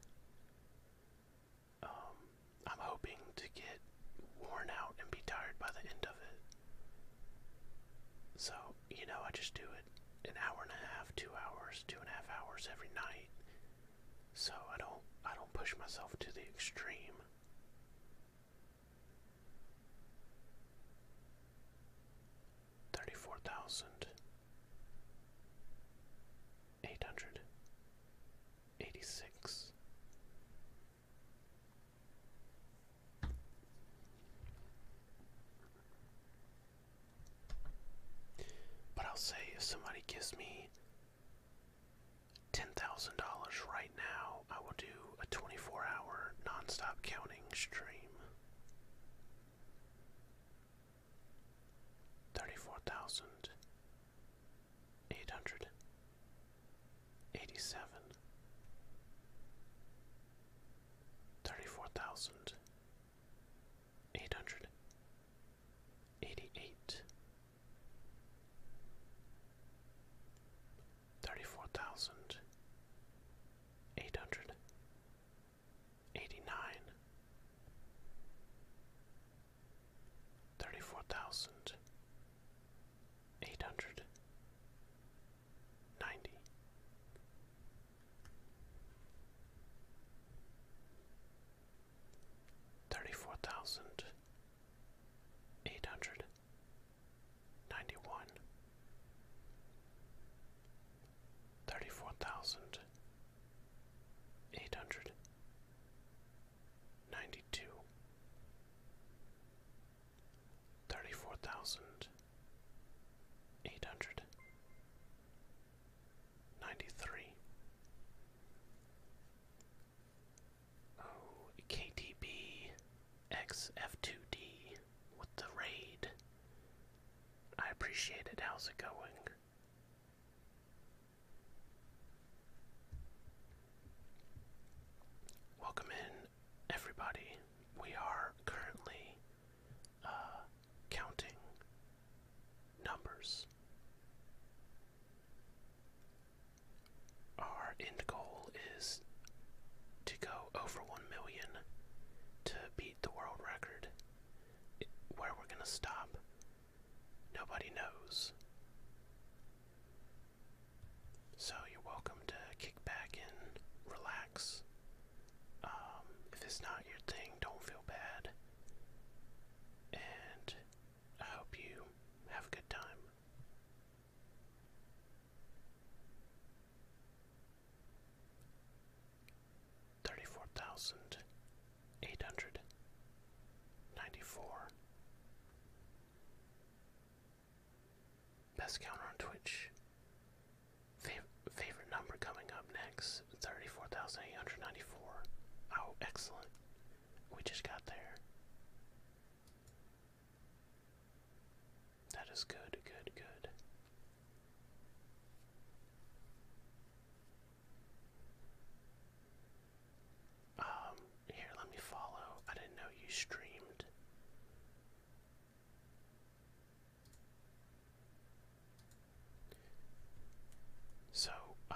Um, I'm hoping to get worn out and be tired by the end of it. So, you know, I just do it an hour and a half, two hours, two and a half hours every night so I don't I don't push myself to the extreme. Thirty four thousand eight hundred eighty six. But I'll say if somebody gives me $10,000 right now, I will do a 24 hour non-stop counting stream. 34,000 eight hundred eighty seven thirty four thousand eight hundred eighty-eight, thirty-four thousand eight hundred eighty-nine, thirty-four thousand eight hundred ninety. Thirty-four thousand Eight hundred ninety-one. Thirty-four eight hundred ninety one thirty four thousand eight hundred ninety two thirty four thousand eight hundred ninety three KTB XF2D with the raid. I appreciate it. How's it going? Welcome in, everybody. We are currently uh, counting numbers. Our end goal is to go over 1 million to beat the world record. where we're going to stop, nobody knows. So you're welcome to kick back and relax. Um, if it's not your thing, don't feel bad. And I hope you have a good time. Thirty four thousand eight hundred ninety four. Best counter on Twitch. favorite number coming up next 34,894. Oh, excellent. We just got there. That is good, good, good. Um, here, let me follow. I didn't know you streamed. So, uh,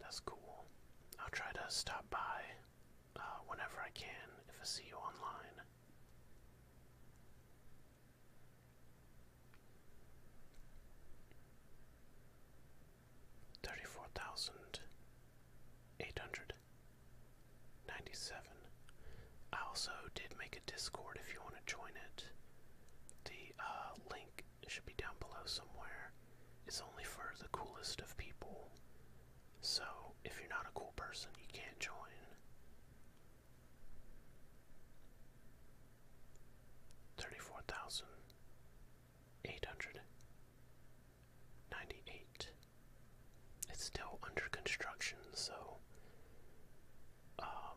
That's cool. I'll try to stop by uh, whenever I can if I see you online. Thirty-four thousand eight hundred ninety-seven. I also did make a Discord if you want to join it. The uh, link should be down below somewhere, is only for the coolest of people. So, if you're not a cool person, you can't join. Thirty-four thousand eight hundred ninety-eight. It's still under construction, so um,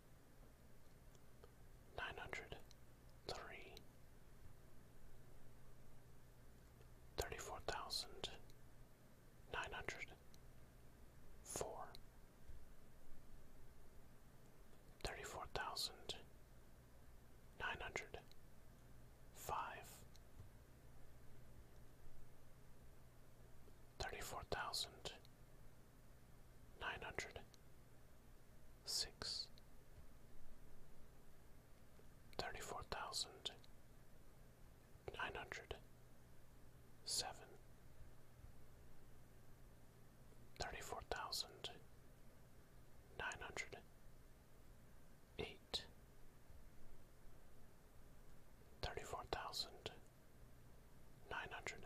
nine hundred three, thirty four thousand nine hundred four, thirty four thousand nine hundred five, thirty four thousand nine hundred six thirty four thousand nine hundred seven thirty four thousand nine hundred eight thirty four thousand nine hundred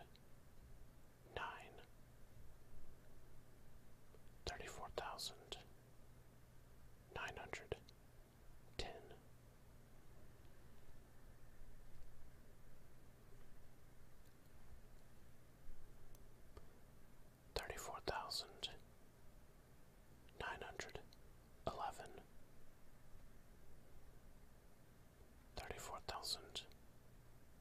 Nine. nine, thirty-four thousand, nine hundred, ten, thirty-four thousand, nine hundred, eleven. Thirty-four thousand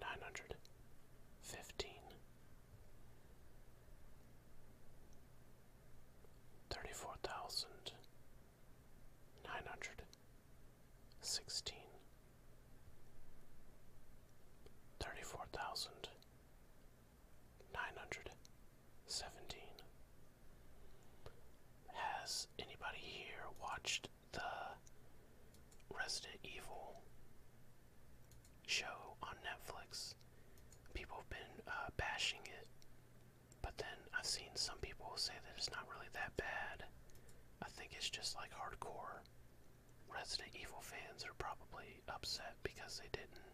nine hundred fifteen thirty four thousand nine hundred sixteen thirty four thousand nine hundred seventeen has anybody here watched the Resident Evil show on Netflix. People have been uh, bashing it, but then I've seen some people say that it's not really that bad. I think it's just like hardcore Resident Evil fans are probably upset because they didn't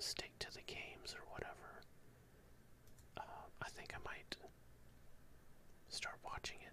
stick to the games or whatever. Um, I think I might start watching it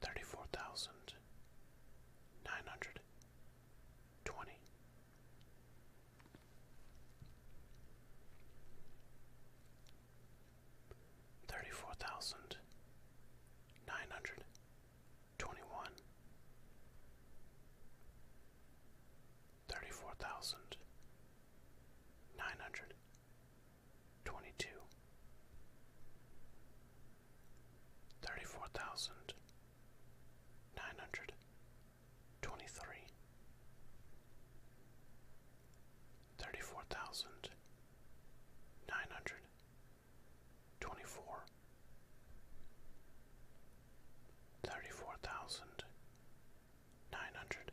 thirty-four thousand nine hundred twenty. Thirty-four thousand nine hundred twenty-one, thirty-four thousand nine hundred twenty-two, thirty-four thousand nine hundred twenty-three, thirty-four thousand nine hundred twenty-four, thirty-four thousand nine hundred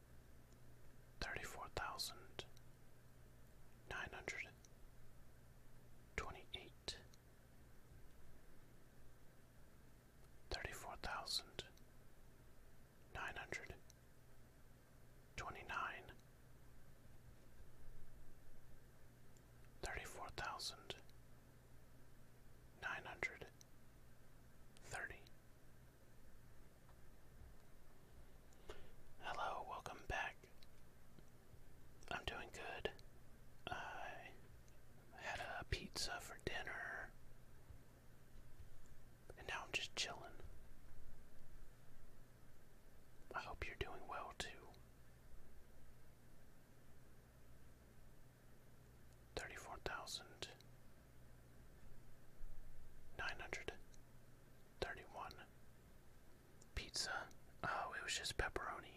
thirty-four thousand nine hundred twenty-eight, thirty-four thousand nine hundred twenty-nine, thirty-four thousand nine hundred thirty. Hello, welcome back. I'm doing good. I had a pizza for dinner, and now I'm just chilling. I hope you're doing well too. 34,000 nine hundred thirty-one. Pizza. Oh, it was just pepperoni.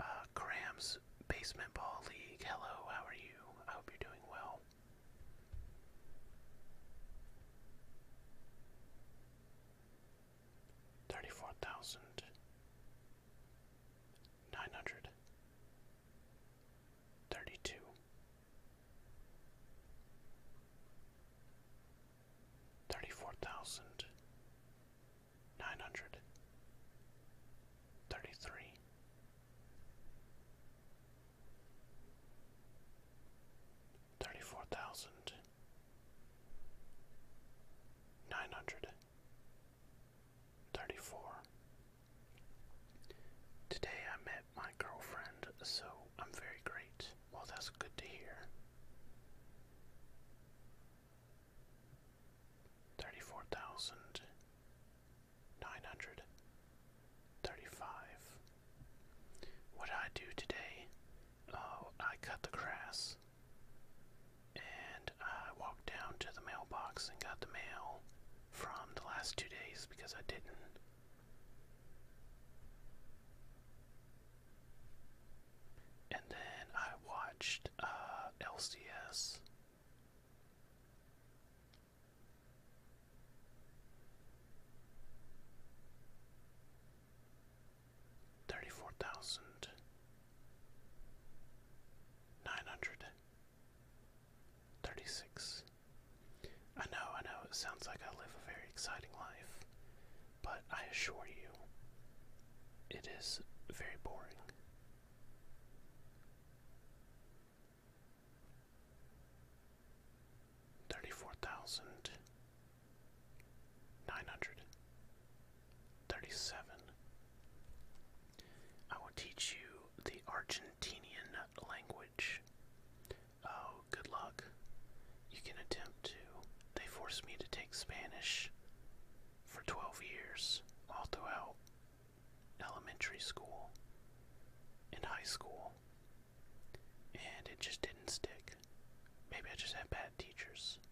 Uh, Basement Ball League. Hello, how are you? I hope you're doing well. Thirty-four thousand nine hundred thirty two. Thirty-four thousand nine hundred thirty-three thirty-four thousand nine hundred 34. Today I met my girlfriend, so I'm very great. Well, that's good to hear. 34,935. What I do today, oh, I cut the grass. And I walked down to the mailbox and got the mail from the last two days because I didn't. And then I watched uh, LCS. Thirty four thousand nine hundred thirty six. I know, I know, it sounds like I live a very exciting life, but I assure you, it is very boring. Thirty four thousand nine hundred 37. I will teach you the Argentinian language. Oh, good luck. You can attempt to. They forced me to take Spanish for 12 years, all throughout elementary school and high school, and it just didn't stick. Maybe I just had bad teachers.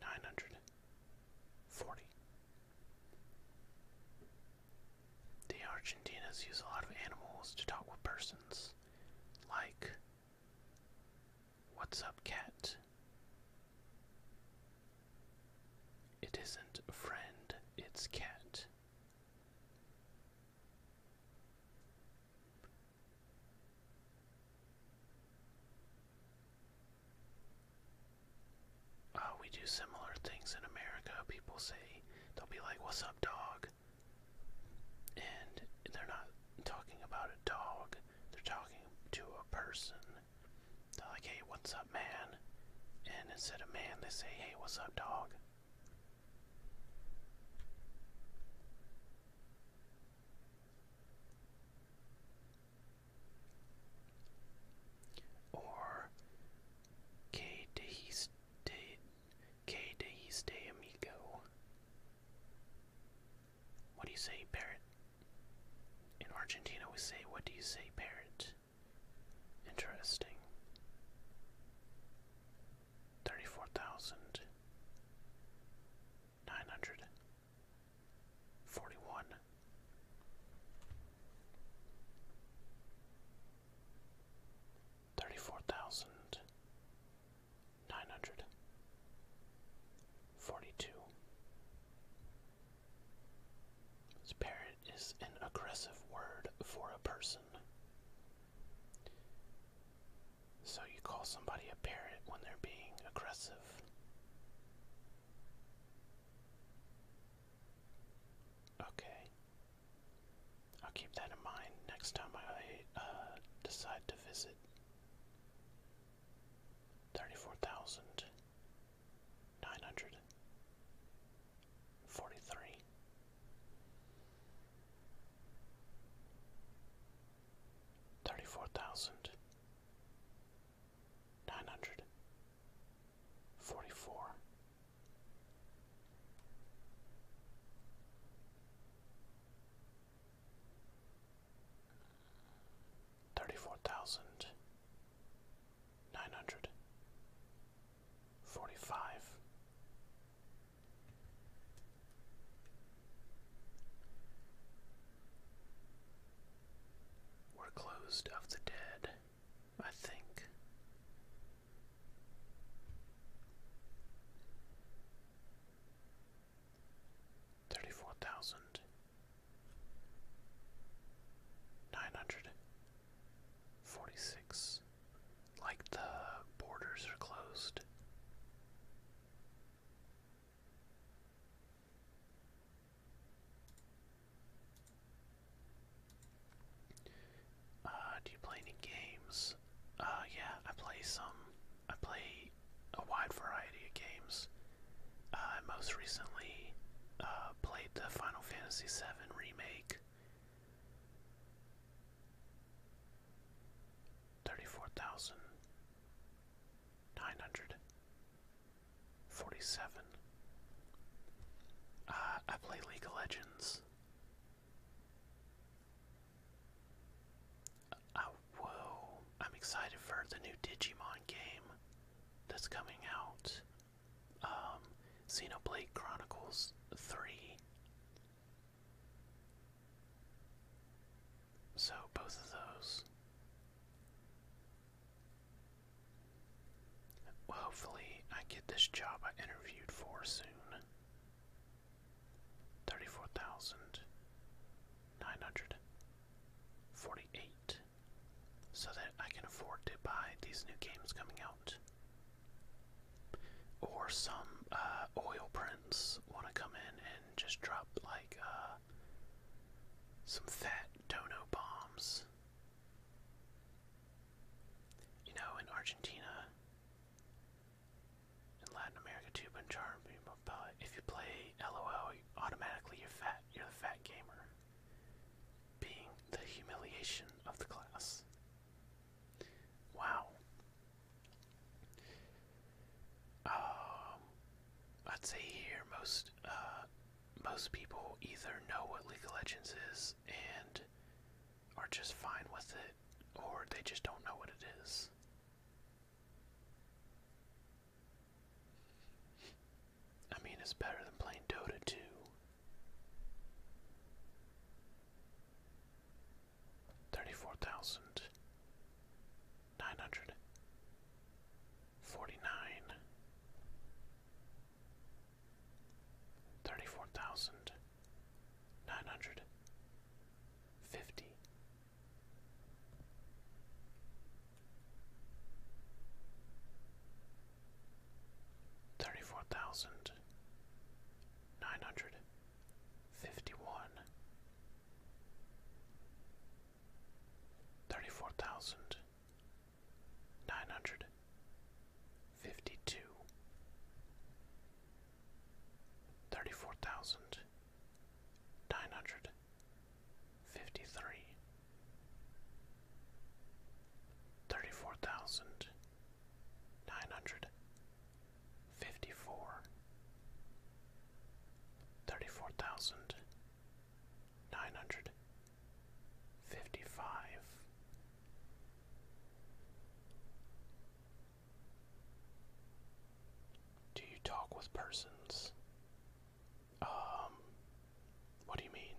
nine hundred forty. The Argentinas use a lot of animals to talk with persons, like What's up, cat? It isn't a friend, it's cat. Oh, we do similar things in America. People say, they'll be like, What's up, dog? And they're not talking about a dog, they're talking to a person. They're like, Hey, what's up, man? And instead of man, they say, Hey, what's up, dog? Or que de stay amigo. What do you say, parrot? In Argentina, we say, What do you say, parrot? Interesting. 34,900. 41 34900 42 Spirit is an aggressive word for a person. So you call somebody a parrot when they're being aggressive. Okay. I'll keep that in mind next time I uh, decide to visit. 34,943. Thirty-four thousand nine hundred forty four thirty four thousand nine hundred forty five were closed of the dead, I think. Thirty four thousand nine hundred forty six. Like the borders are closed. Uh, do you play any games? Uh, yeah, I play some. I play a wide variety of games. Uh, I most recently played the Final Fantasy VII Remake. 34,900. Forty-seven. Uh, I play League of Legends. Uh, whoa! I'm excited for the new Digimon game that's coming out. Um, Xenoblade Chronicles Three. So both of those. Well, hopefully, I get this job I interviewed for soon. 34,948. So that I can afford to buy these new games coming out. Or some uh, oil prints want to come in and just drop like uh, some fat Tono bombs. You know, in Argentina in Latin America too, but if you play LOL, automatically you're fat. You're the fat gamer, being the humiliation of the class. Wow. Um, I'd say here most uh, most people either know what League of Legends is and are just fine with it, or they just don't know what it is. I mean, it's better than playing Dota 2. Thirty-four thousand nine hundred forty nine thirty four thousand nine hundred fifty thirty four thousand nine hundred fifty one Thirty-four thousand nine hundred fifty-two. Thirty-four thousand nine hundred fifty-three. Thirty-four thousand thirty-four thousand nine hundred fifty-two, thirty-four thousand nine hundred fifty-three, thirty-four thousand nine hundred fifty-four, thirty-four thousand nine hundred fifty five. Do you talk with persons? Um, what do you mean?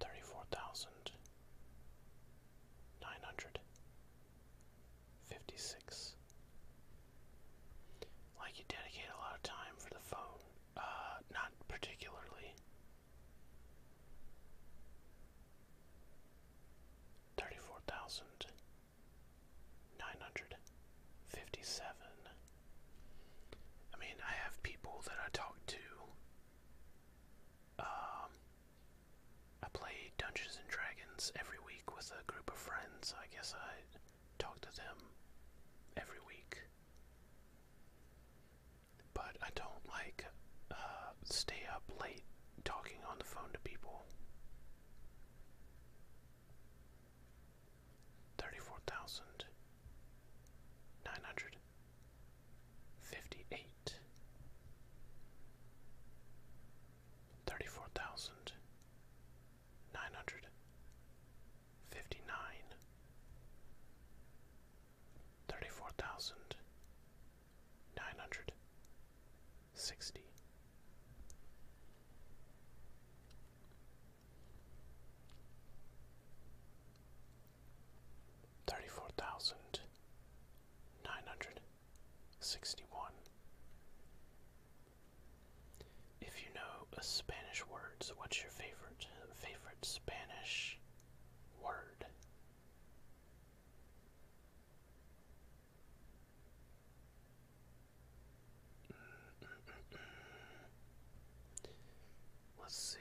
Thirty four thousand nine hundred 56. Like you dedicate a lot of time for the phone. Uh, not particularly. 34,957. I mean, I have people that I talk to um, I play Dungeons and Dragons every week with a group of friends. I guess I talk to them every week. But I don't like uh, stay up late talking on the phone to people. 34,958 thirty-four thousand nine hundred fifty-nine, thirty-four thousand nine hundred sixty. Thirty-four thousand nine hundred sixty-one, if you know a Spanish words, what's your favorite favorite Spanish word? Let's see.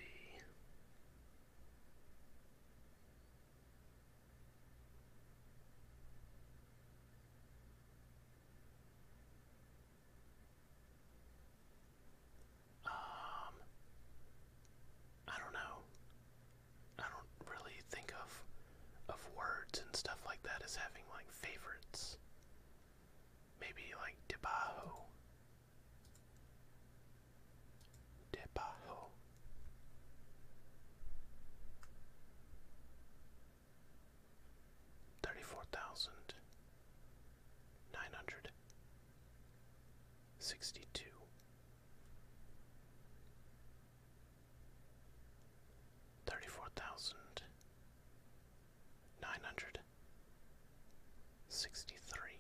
Um, I don't know. I don't really think of of words and stuff like that as having like favorites. Maybe like debajo. Debajo thirty-four thousand nine hundred sixty-two. Thirty-four thousand nine hundred sixty-three,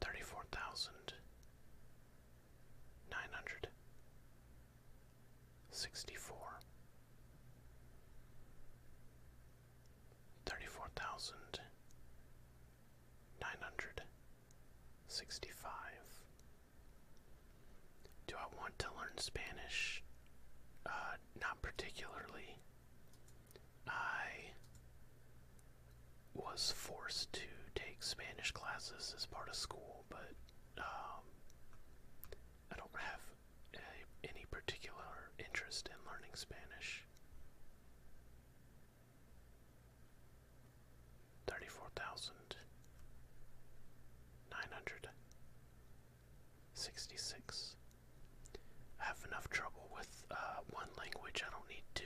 thirty-four thousand nine hundred sixty four thirty four thousand nine hundred sixty five do I want to learn Spanish? Uh, not particularly. I was forced to take Spanish classes as part of school, but um, I don't have any particular interest in learning Spanish. 34,966. I have enough trouble with uh, one language, I don't need two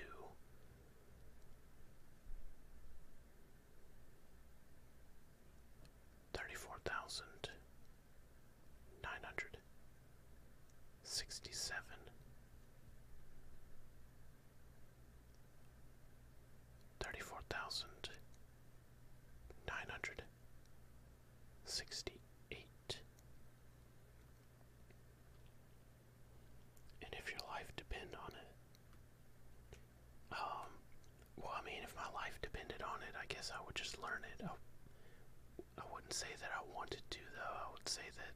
thirty-four thousand nine hundred sixty-seven, thirty-four thousand nine hundred sixty-eight, and if your life depended on it um, well i mean if my life depended on it i guess i would just learn it i, I wouldn't say that i wanted to though i would say that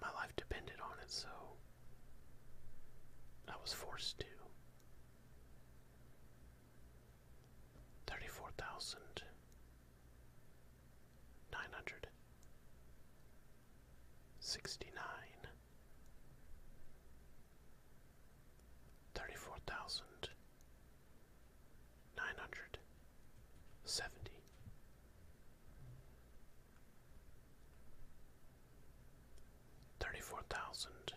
my life depended on it so i was forced to 34,969 thirty-four thousand nine hundred seventy thirty-four thousand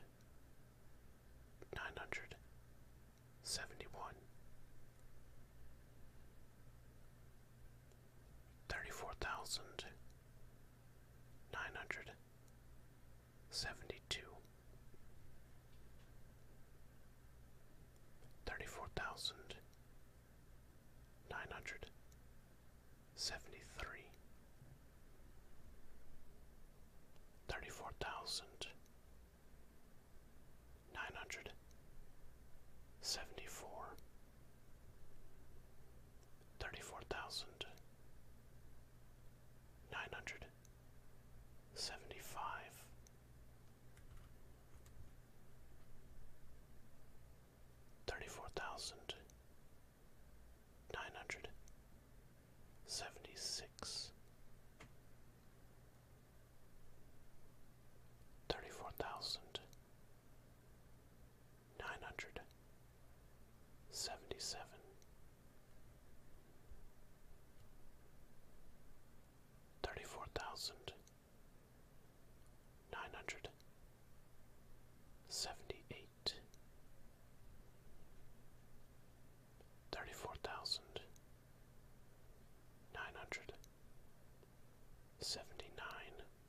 nine hundred seventy-one thirty-four thousand nine hundred seventy two thirty four thousand nine hundred seventy three thirty four thousand nine hundred seventy four thirty-four thousand nine hundred seventy-five thirty-four thousand nine hundred seventy-six Thirty-four thousand nine hundred seventy seven thirty four thousand nine hundred seventy eight thirty four thousand nine hundred seventy nine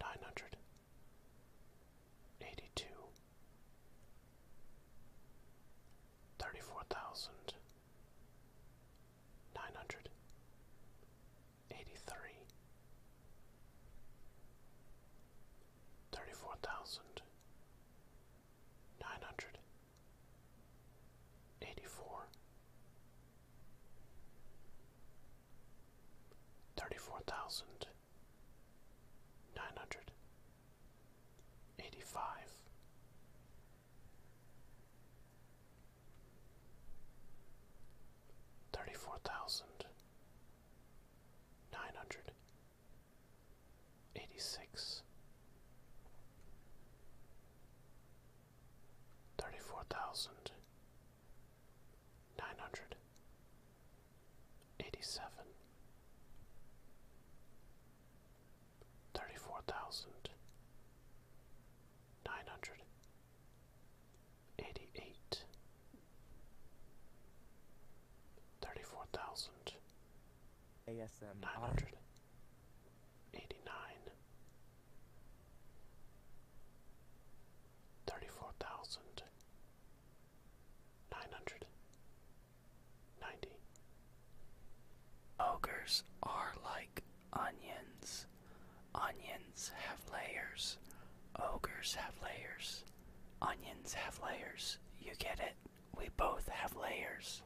Nine hundred eighty-two. Thirty-four nine hundred eighty two thirty four thousand nine hundred eighty three thirty four thousand nine hundred eighty four thirty-four thousand nine hundred eighty-five thirty-four thousand nine hundred eighty-six thirty-four thousand nine hundred eighty seven thirty four thousand nine hundred eighty eight thirty four thousand ASM nine hundred eighty nine thirty-four thousand nine hundred ninety. Ogres are like onions. Onions have layers. Ogres have layers. Onions have layers. You get it? We both have layers.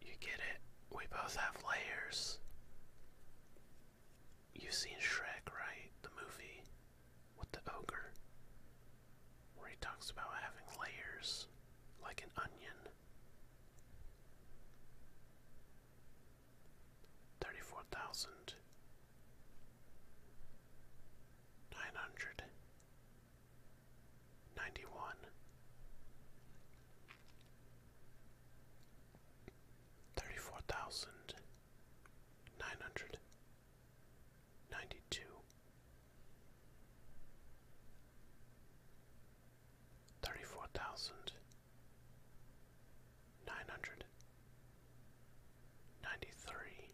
You get it? We both have layers. you seen Shrek, right? The movie with the ogre. Where he talks about having layers like an onion. 34,000 nine hundred ninety one thirty four thousand nine hundred ninety two thirty four thousand nine hundred ninety three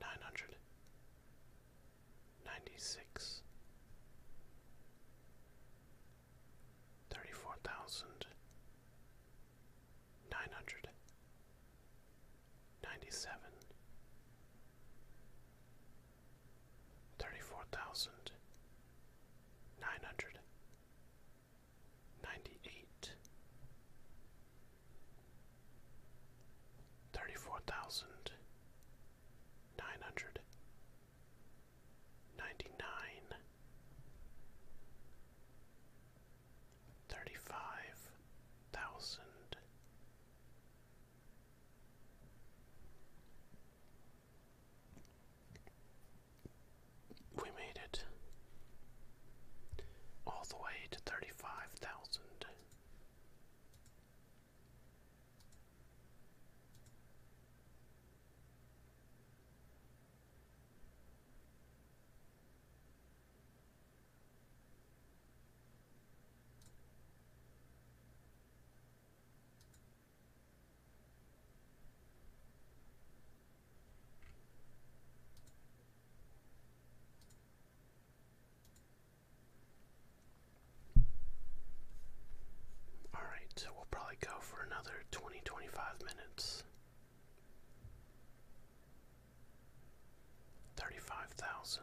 nine hundred ninety six thirty four thousand nine hundred ninety seven thirty four thousand nine hundred ninety-eight, thirty-four thousand nine hundred ninety-nine, thirty-five thousand we made it all the way to 35,000. All right, we'll probably go for another 20 25 minutes. 35,000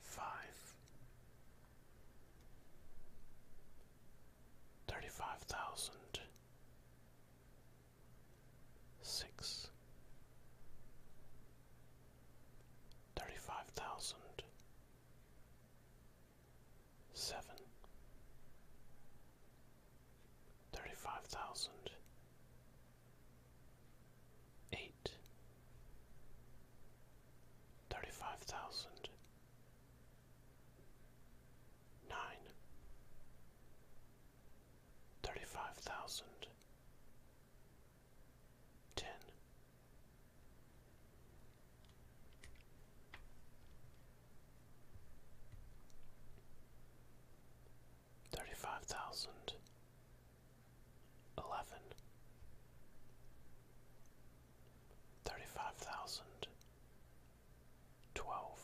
five, thirty-five thousand, six, thirty-five thousand, seven, thirty-five thousand eight thirty five thousand nine thirty five thousand ten Thirty five thousand eleven, thirty-five thousand, twelve,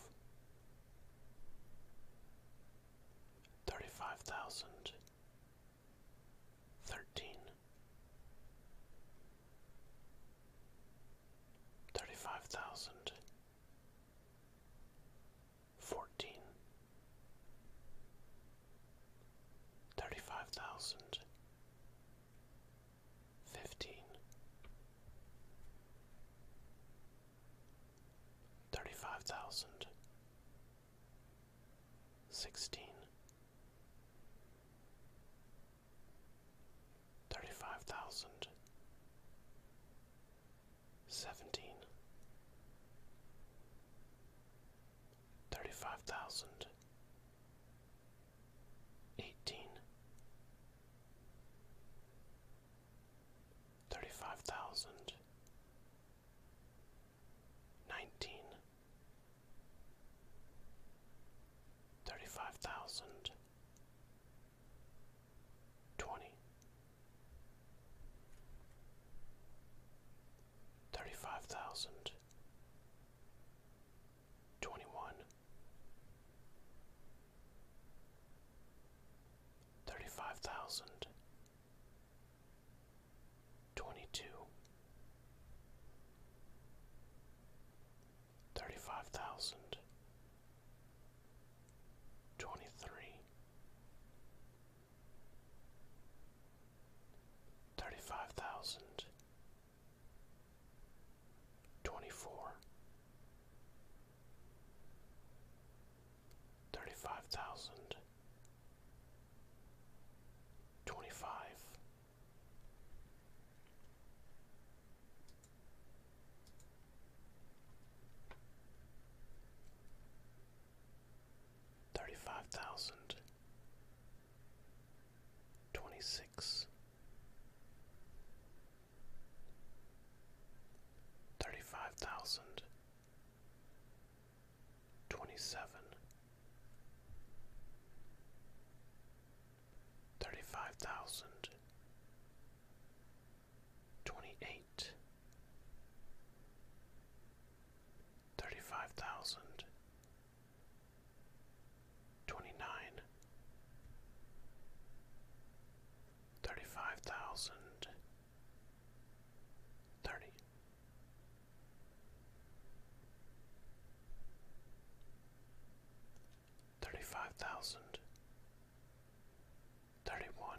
thirty-five thousand, thirteen, thirty-five thousand. Fourteen. thousand. Fifteen. thousand. Sixteen. fourteen, thirty-five thousand, fifteen, thirty-five thousand, sixteen, thirty-five thousand. Seventeen, thirty-five thousand eighteen thirty-five thousand nineteen thirty-five thousand twenty thirty-five thousand, twenty-one, thirty-five thousand, twenty-two, thirty-five thousand, twenty-three thirty-five thousand twenty-four thirty-five thousand twenty-five thirty-five thousand twenty-six thirty-five thousand twenty-seven thirty-five thousand twenty-eight thirty five thousand twenty nine thirty five thousand thirty thirty five thousand thirty one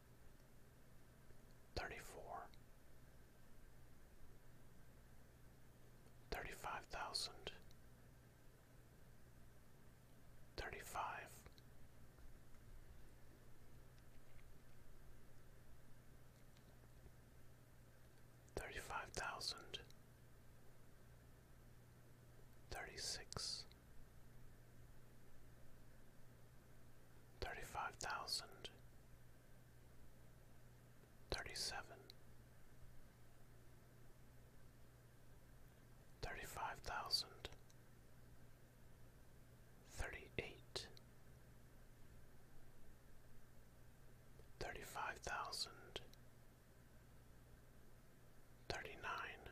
thirty-four, thirty-five thousand, thirty-five, thirty-five thousand, thirty-six thousand. Thirty-seven. thousand. Thirty-eight. thousand. Thirty-nine.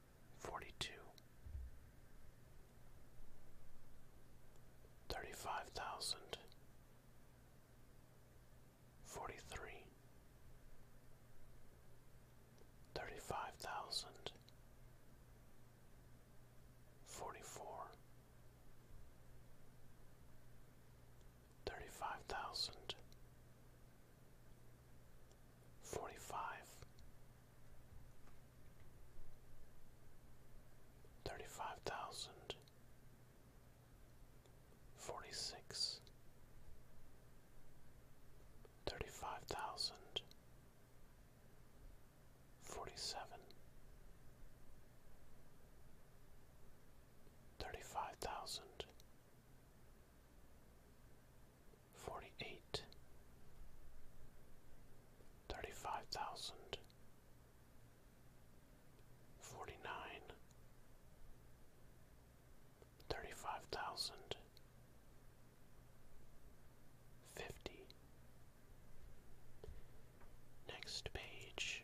forty-two, thirty-five thousand, forty-three, thirty-five thousand, forty-four, thirty-five thousand, forty-five thirty-five thousand forty-six thirty-five thousand forty-seven thirty-five thousand forty eight, thirty five thousand, forty nine, thirty five thousand, fifty. Next page.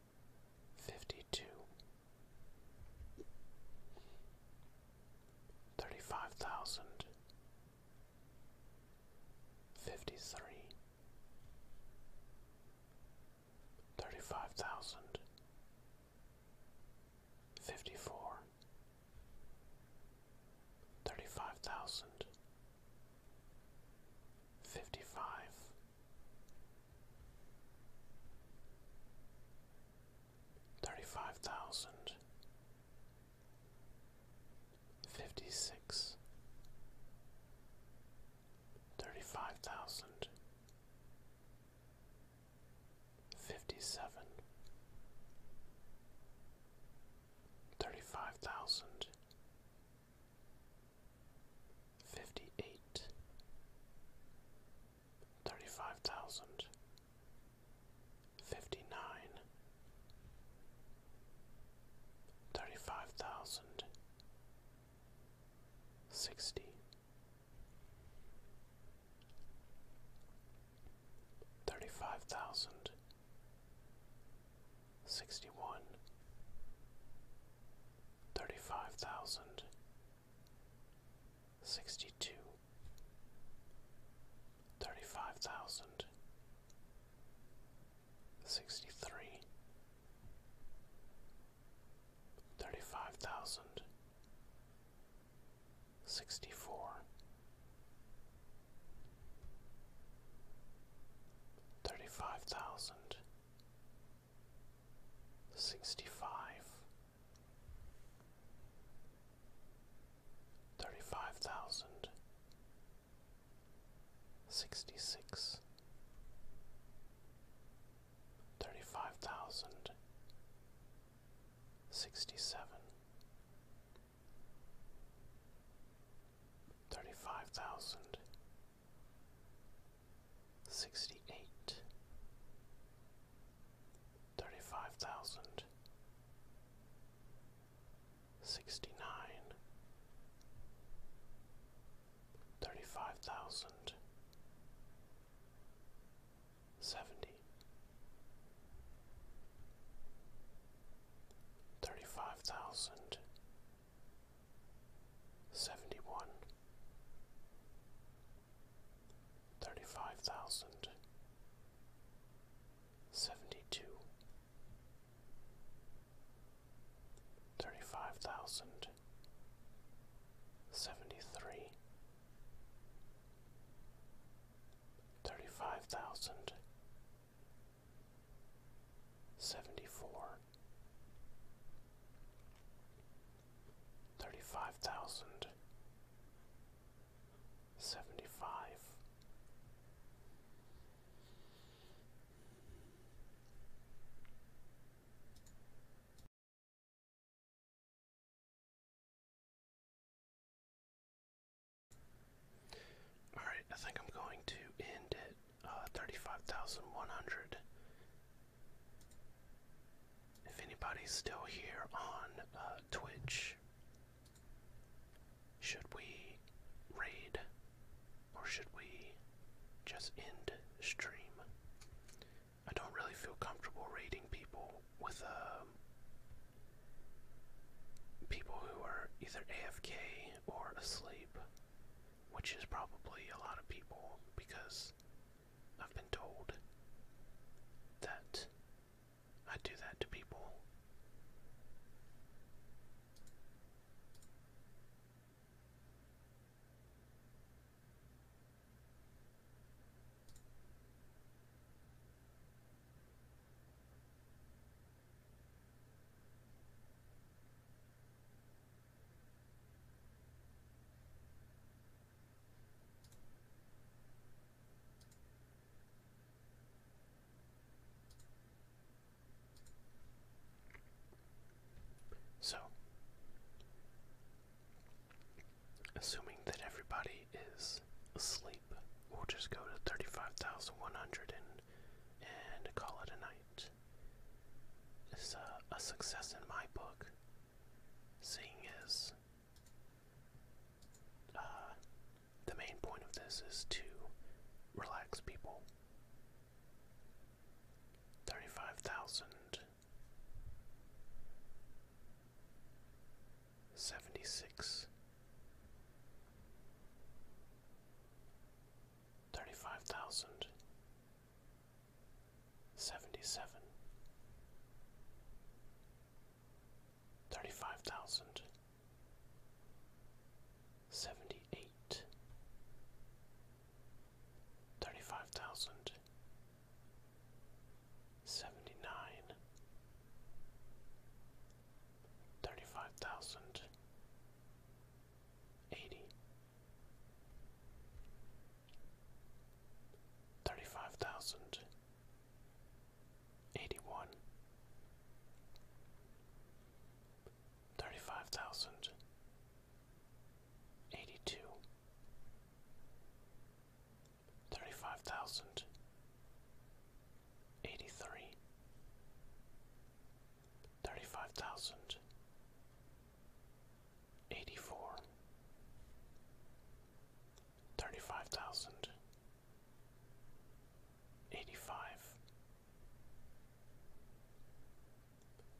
Fifty-two. Fifty-three. Fifty-four. fifty-two, thirty-five thousand, fifty-three, thirty-five thousand, fifty-four, thirty-five thousand fifty five. Thirty-five thousand fifty-six, thirty-five thousand fifty-seven, thirty-five thousand fifty eight, thirty five thousand, fifty nine, thirty five thousand, sixty, thirty five thousand sixty one, thirty five thousand, sixty two, thirty five thousand, sixty three, thirty five thousand, sixty four. Thirty five thousand sixty five thirty five thousand sixty six thirty five thousand sixty seven thirty five thousand sixty eight, thirty five thousand, sixty nine, thirty five thousand, seventy, thirty five thousand. 35,000 seventy one, thirty five thousand, seventy two, thirty five thousand, seventy three, thirty five thousand. Seventy four, thirty-five thousand seventy-five all right, I think I'm going to end it uh, 35,100. If anybody's still here on uh, Twitch, should we raid or should we just end stream? I don't really feel comfortable raiding people with um, people who are either AFK or asleep which is probably a lot of people because I've been told that I do that to people. So, assuming that everybody is asleep, we'll just go to 35,100 and, call it a night. It's a, success in my book, seeing as uh, the main point of this is to relax people. 35,000. 35,000 seventy seven thirty five thousand seventy eight thirty five thousand seventy nine thirty five thousand eighty, thirty-five thousand, eighty-one, thirty-five thousand, eighty-two, thirty-five thousand, eighty-three thirty-five thousand eighty-four thirty-five thousand eighty-five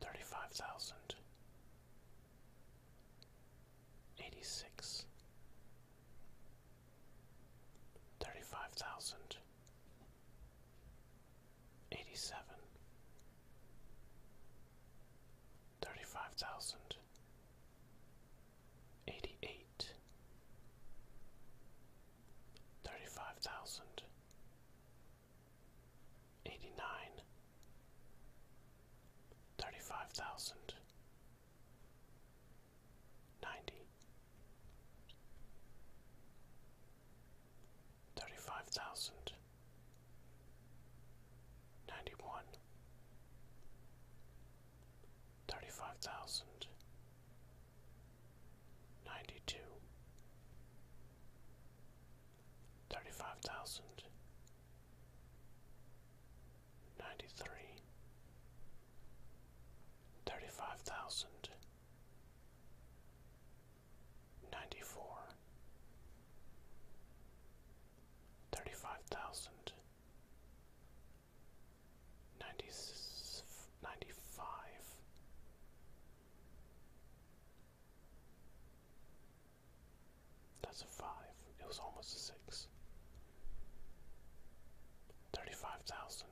thirty-five thousand eighty-six thirty-five thousand eighty seven, thirty five thousand, eighty eight, thirty five thousand, eighty nine, thirty five thousand, ninety. Thirty five thousand ninety one, thirty five thousand, ninety two, thirty five thousand, ninety three, thirty five thousand ninety four, thirty five thousand, ninety ninety five. That's a five. It was almost a six. Thirty five thousand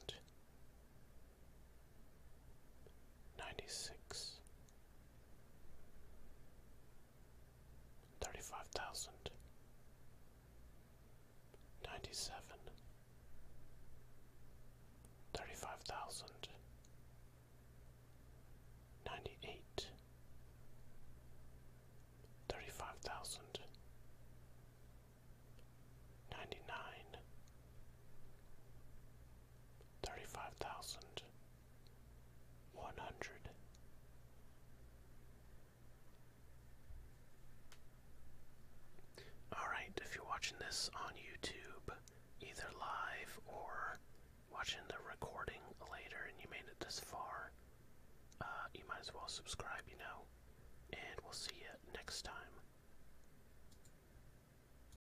ninety six thirty five thousand ninety seven thirty five thousand ninety eight thirty five thousand ninety nine thirty-five thousand one hundred all right if you're watching this on YouTube either live or watching the recording later and you made it this far uh, you might as well subscribe you know and we'll see you next time